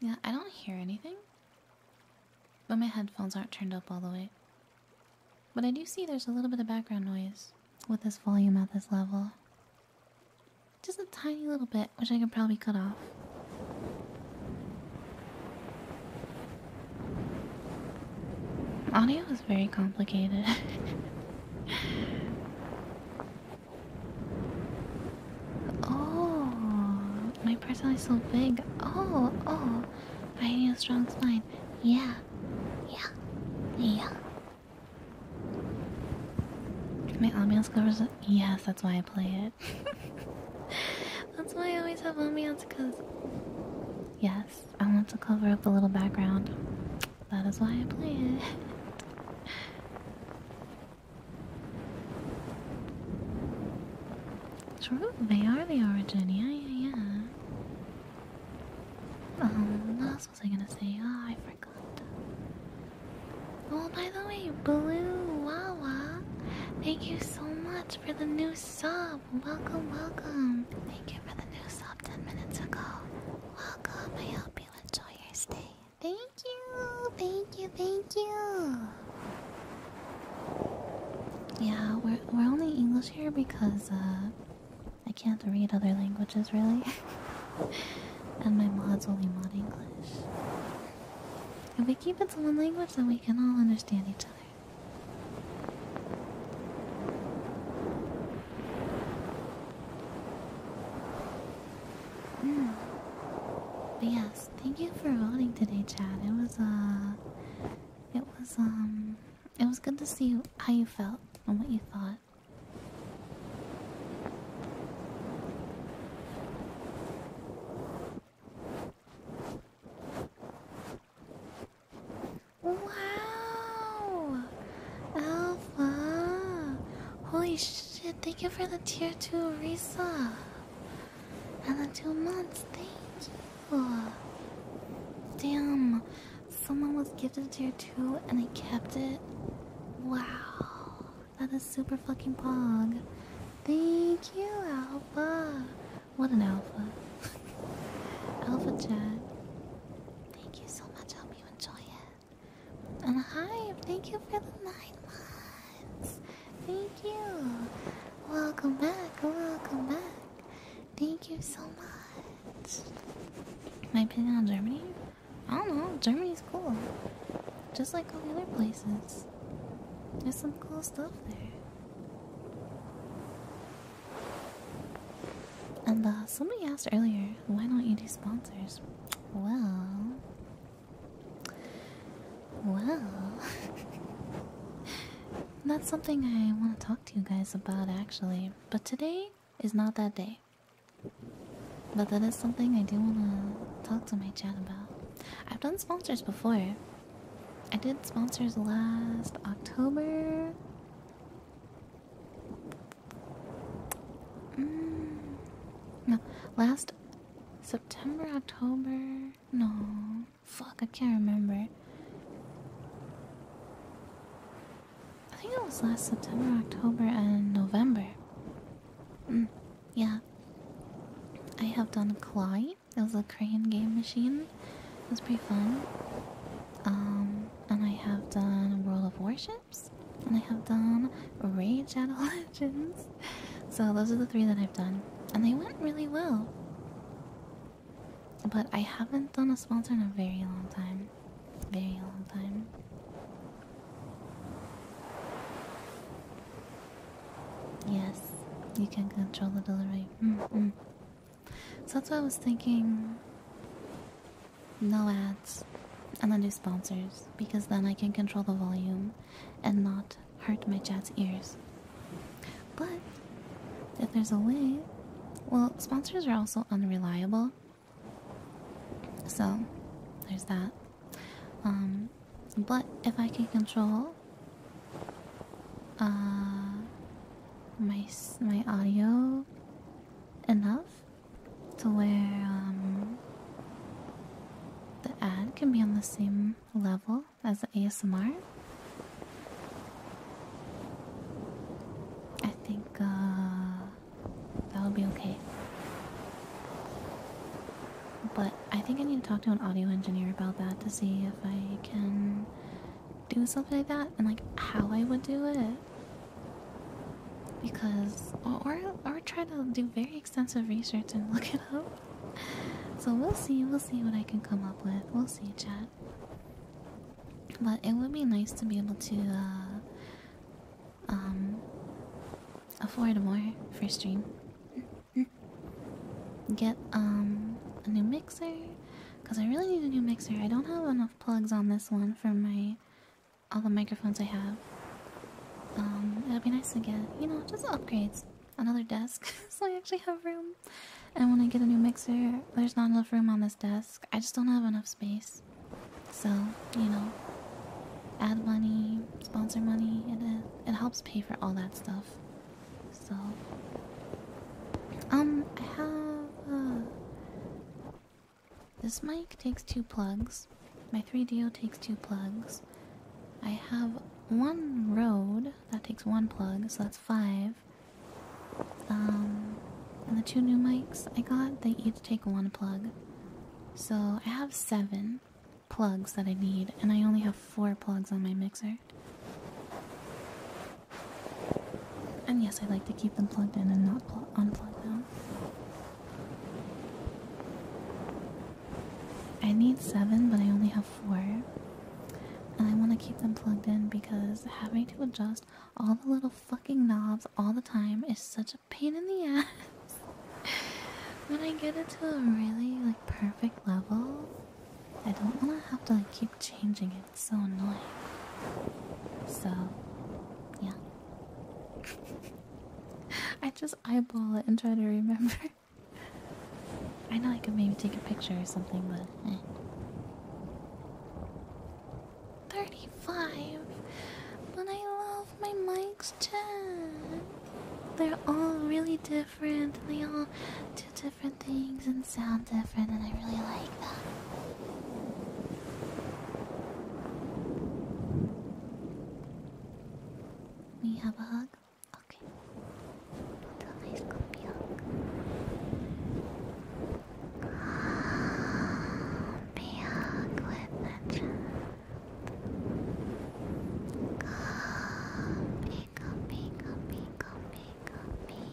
Yeah, I don't hear anything, but my headphones aren't turned up all the way. But I do see there's a little bit of background noise with this volume at this level. Just a tiny little bit, which I can probably cut off. Audio is very complicated. oh, my person is so big. Oh, oh, I need a strong spine. Yeah, yeah, yeah. My ambiance covers. Yes, that's why I play it. that's why I always have ambiance, cause. Yes. I want to cover up the little background. That is why I play it. True, they are the origin. Yeah, yeah, yeah. Um, what was I gonna say? Oh, I forgot. Oh, by the way, Blue Wawa, thank you so much for the new sub. Welcome, welcome. Thank you for the new sub 10 minutes ago. Welcome. I hope you enjoy your stay. Thank you, thank you, thank you. Yeah, we're we're only English here because uh, I can't read other languages really, and my mods only mod English. If we keep it to one language, then we can all understand each other. But yes, thank you for voting today, Chad. It was uh it was um it was good to see how you felt and what you thought. Wow! Alpha! Holy shit, thank you for the tier 2 Risa! And the two months, thank you! Damn, someone was gifted tier 2 and they kept it. Wow, that is super fucking pog. Thank you, Alpha! What an alpha. alpha Chad. Thank you so much. I hope you enjoy it. And hi, thank you for the nine months. Thank you. Welcome back. Welcome back. Thank you so much. My opinion on Germany? I don't know. Germany's cool. Just like all the other places. There's some cool stuff there. And uh, somebody asked earlier, why don't you do sponsors? Well, well, that's something I want to talk to you guys about actually. But today is not that day. But that is something I do want to talk to my chat about. I've done sponsors before. I did sponsors last October. Mm, no, last September, October. No, fuck, I can't remember. I think it was last September, October, and November. Mm, yeah, I have done Clay. It was a crane game machine. It was pretty fun. Um, and I have done World of Warships, and I have done Rage at Legends. So those are the three that I've done, and they went really well. But I haven't done a sponsor in a very long time. Very long time. Yes, you can control the delivery. Mm-hmm. So that's why I was thinking no ads and then do sponsors because then I can control the volume and not hurt my chat's ears. But if there's a way, well, sponsors are also unreliable. So there's that. Um, but if I can control uh, my my audio enough to where um, the ad can be on the same level as the ASMR. I think uh, that'll be okay. But I think I need to talk to an audio engineer about that to see if I can do something like that and like how I would do it because or or try to do very extensive research and look it up. So we'll see, we'll see what I can come up with. We'll see, chat. But it would be nice to be able to uh, um afford more for stream. Get um, a new mixer, because I really need a new mixer. I don't have enough plugs on this one for my all the microphones I have. Um, it'll be nice to get, you know, just upgrades. Another desk, so I actually have room. And when I get a new mixer, there's not enough room on this desk. I just don't have enough space. So, you know, add money, sponsor money, and it, it helps pay for all that stuff. So, um, I have. Uh, this mic takes two plugs. My 3DO takes two plugs. I have one Rode that takes one plug, so that's five. Um, and the two new mics I got, they each take one plug. So I have seven plugs that I need, and I only have four plugs on my mixer. And yes, I like to keep them plugged in and not unplug them. I need seven, but I only have four. And I want to keep them plugged in because having to adjust all the little fucking knobs all the time is such a pain in the ass. when I get it to a really like perfect level, I don't want to have to like keep changing it so annoying. So, yeah. I just eyeball it and try to remember. I know I could maybe take a picture or something, but 35! Eh. But I love my mics chat! They're all really different, they all do different different things and sound different, and I really like that. We have a hug? Okay. Put a nice comfy hug. Comfy hug with the chat. Comfy, comfy, comfy, comfy, comfy.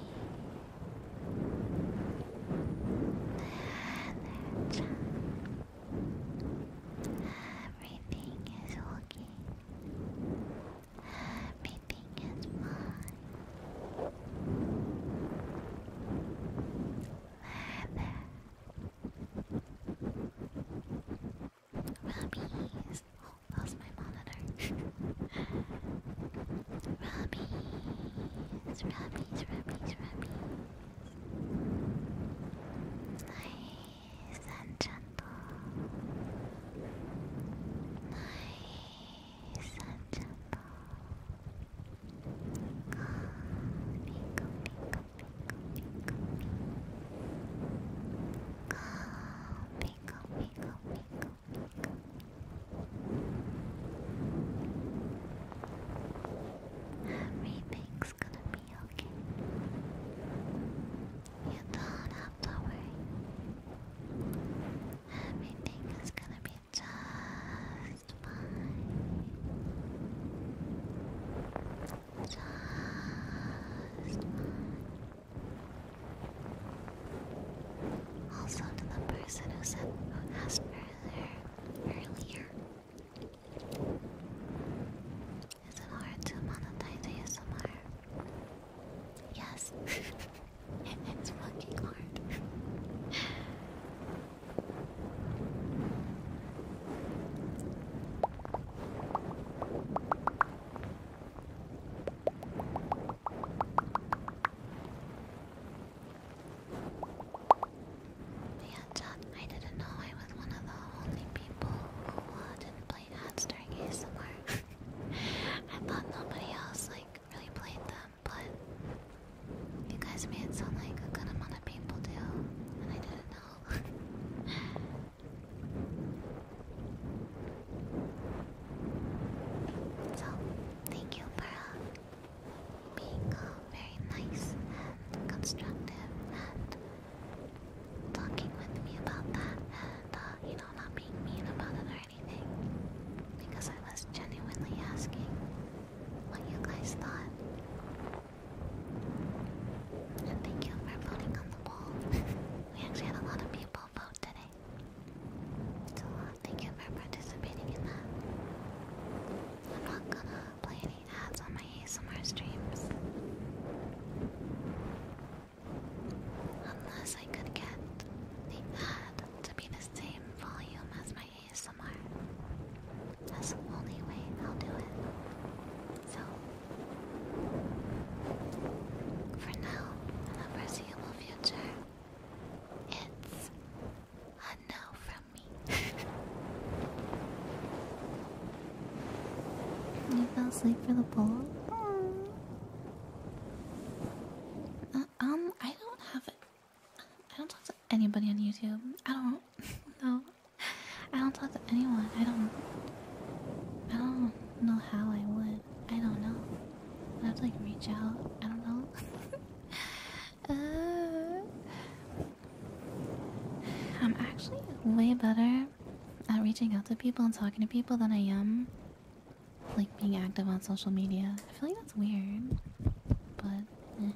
Everything is okay. Everything is fine. There, there. Oh, lost my monitor. Rubbies, rubbies, rubbies, rubbies. Nice and gentle. Nice and gentle. Coffee, coffee, coffee, coffee, coffee. Coffee, coffee, coffee, coffee. Everything's gonna be okay. You don't have to worry. Everything is gonna be just fine. Just fine. Also to the person who said who asked earlier earlier. Is it hard to monetize ASMR? Yes. it's fucking hard. Yeah, I didn't know I was one of the only people who uh, didn't play ads during ASMR. I thought nobody else like really played them, but you guys made it sound like a good amount of people do, and I didn't know. So, thank you for uh, being uh, very nice and constructive and talking with me about that and, uh, you know, not being mean about it or anything. Because I was genuinely asking what you guys thought. And thank you for voting on the wall. we actually had a lot of people vote today. It's a lot. Thank you for participating in that. I'm not gonna play any ads on my ASMR streams. Unless I could get the ad to be the same volume as my ASMR. That's the only way I'll do it. So, for now, in the foreseeable future, it's a no from me. you fell asleep for the bowl? Uh, um, I don't have it. I don't talk to anybody on YouTube. I don't. no. I don't talk to anyone. I don't. I don't know how I would. I don't know. I have to like reach out. I don't know. Uh, I'm actually way better at reaching out to people and talking to people than I am like being active on social media. I feel like that's weird, but eh.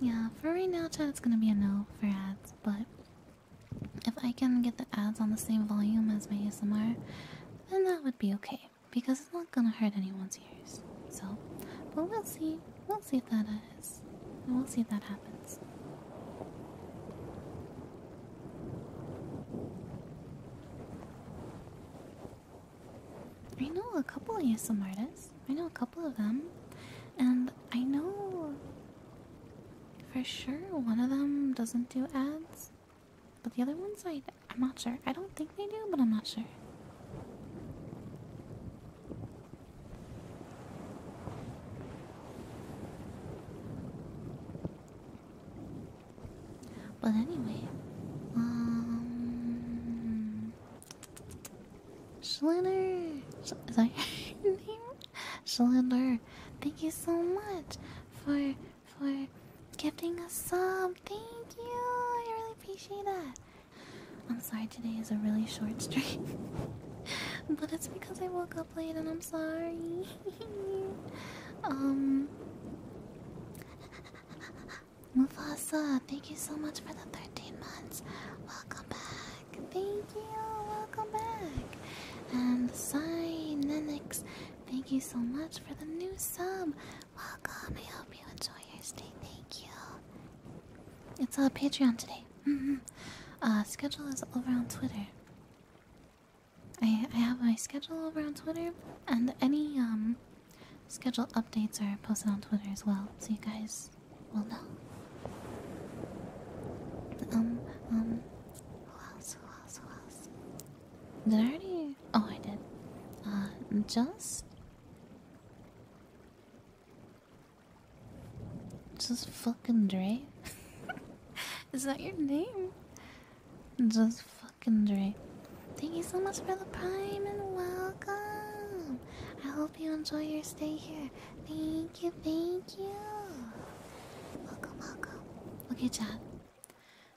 yeah. For right now, it's gonna be a no for ads. But if I can get the ads on the same volume as my ASMR, then that would be okay because it's not gonna hurt anyone's ears. So, but we'll see. We'll see if that is. And we'll see if that happens. I know a couple of ASM artists. I know a couple of them. And I know for sure one of them doesn't do ads. But the other ones, I, I'm not sure. I don't think they do, but I'm not sure. But anyway, um, Schlitter, is that name? Schlitter, thank you so much for for gifting us sub. Thank you. I really appreciate that. I'm sorry today is a really short stream. but it's because I woke up late and I'm sorry. um Mufasa, thank you so much for the 13 months. Welcome back. Thank you. Welcome back. And Sai Nenix, thank you so much for the new sub. Welcome. I hope you enjoy your stay. Thank you. It's a uh, Patreon today. Mm-hmm. uh, schedule is over on Twitter. I I have my schedule over on Twitter, and any um schedule updates are posted on Twitter as well, so you guys will know. Um um. Who else? Who else? Who else? Did I already? Oh, I did. Uh, just. Just fucking Dre? Is that your name? Just fucking Dre. Thank you so much for the prime and welcome. I hope you enjoy your stay here. Thank you, thank you. Welcome, welcome. Okay, chat.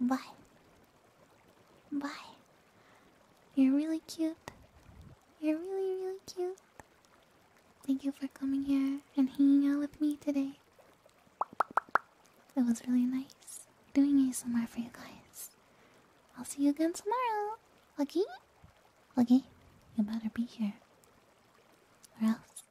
Bye. Bye. You're really cute. You're really, really cute. Thank you for coming here and hanging out with me today. It was really nice doing a ASMR for you guys. I'll see you again tomorrow. Lucky? Lucky, you better be here. Or else.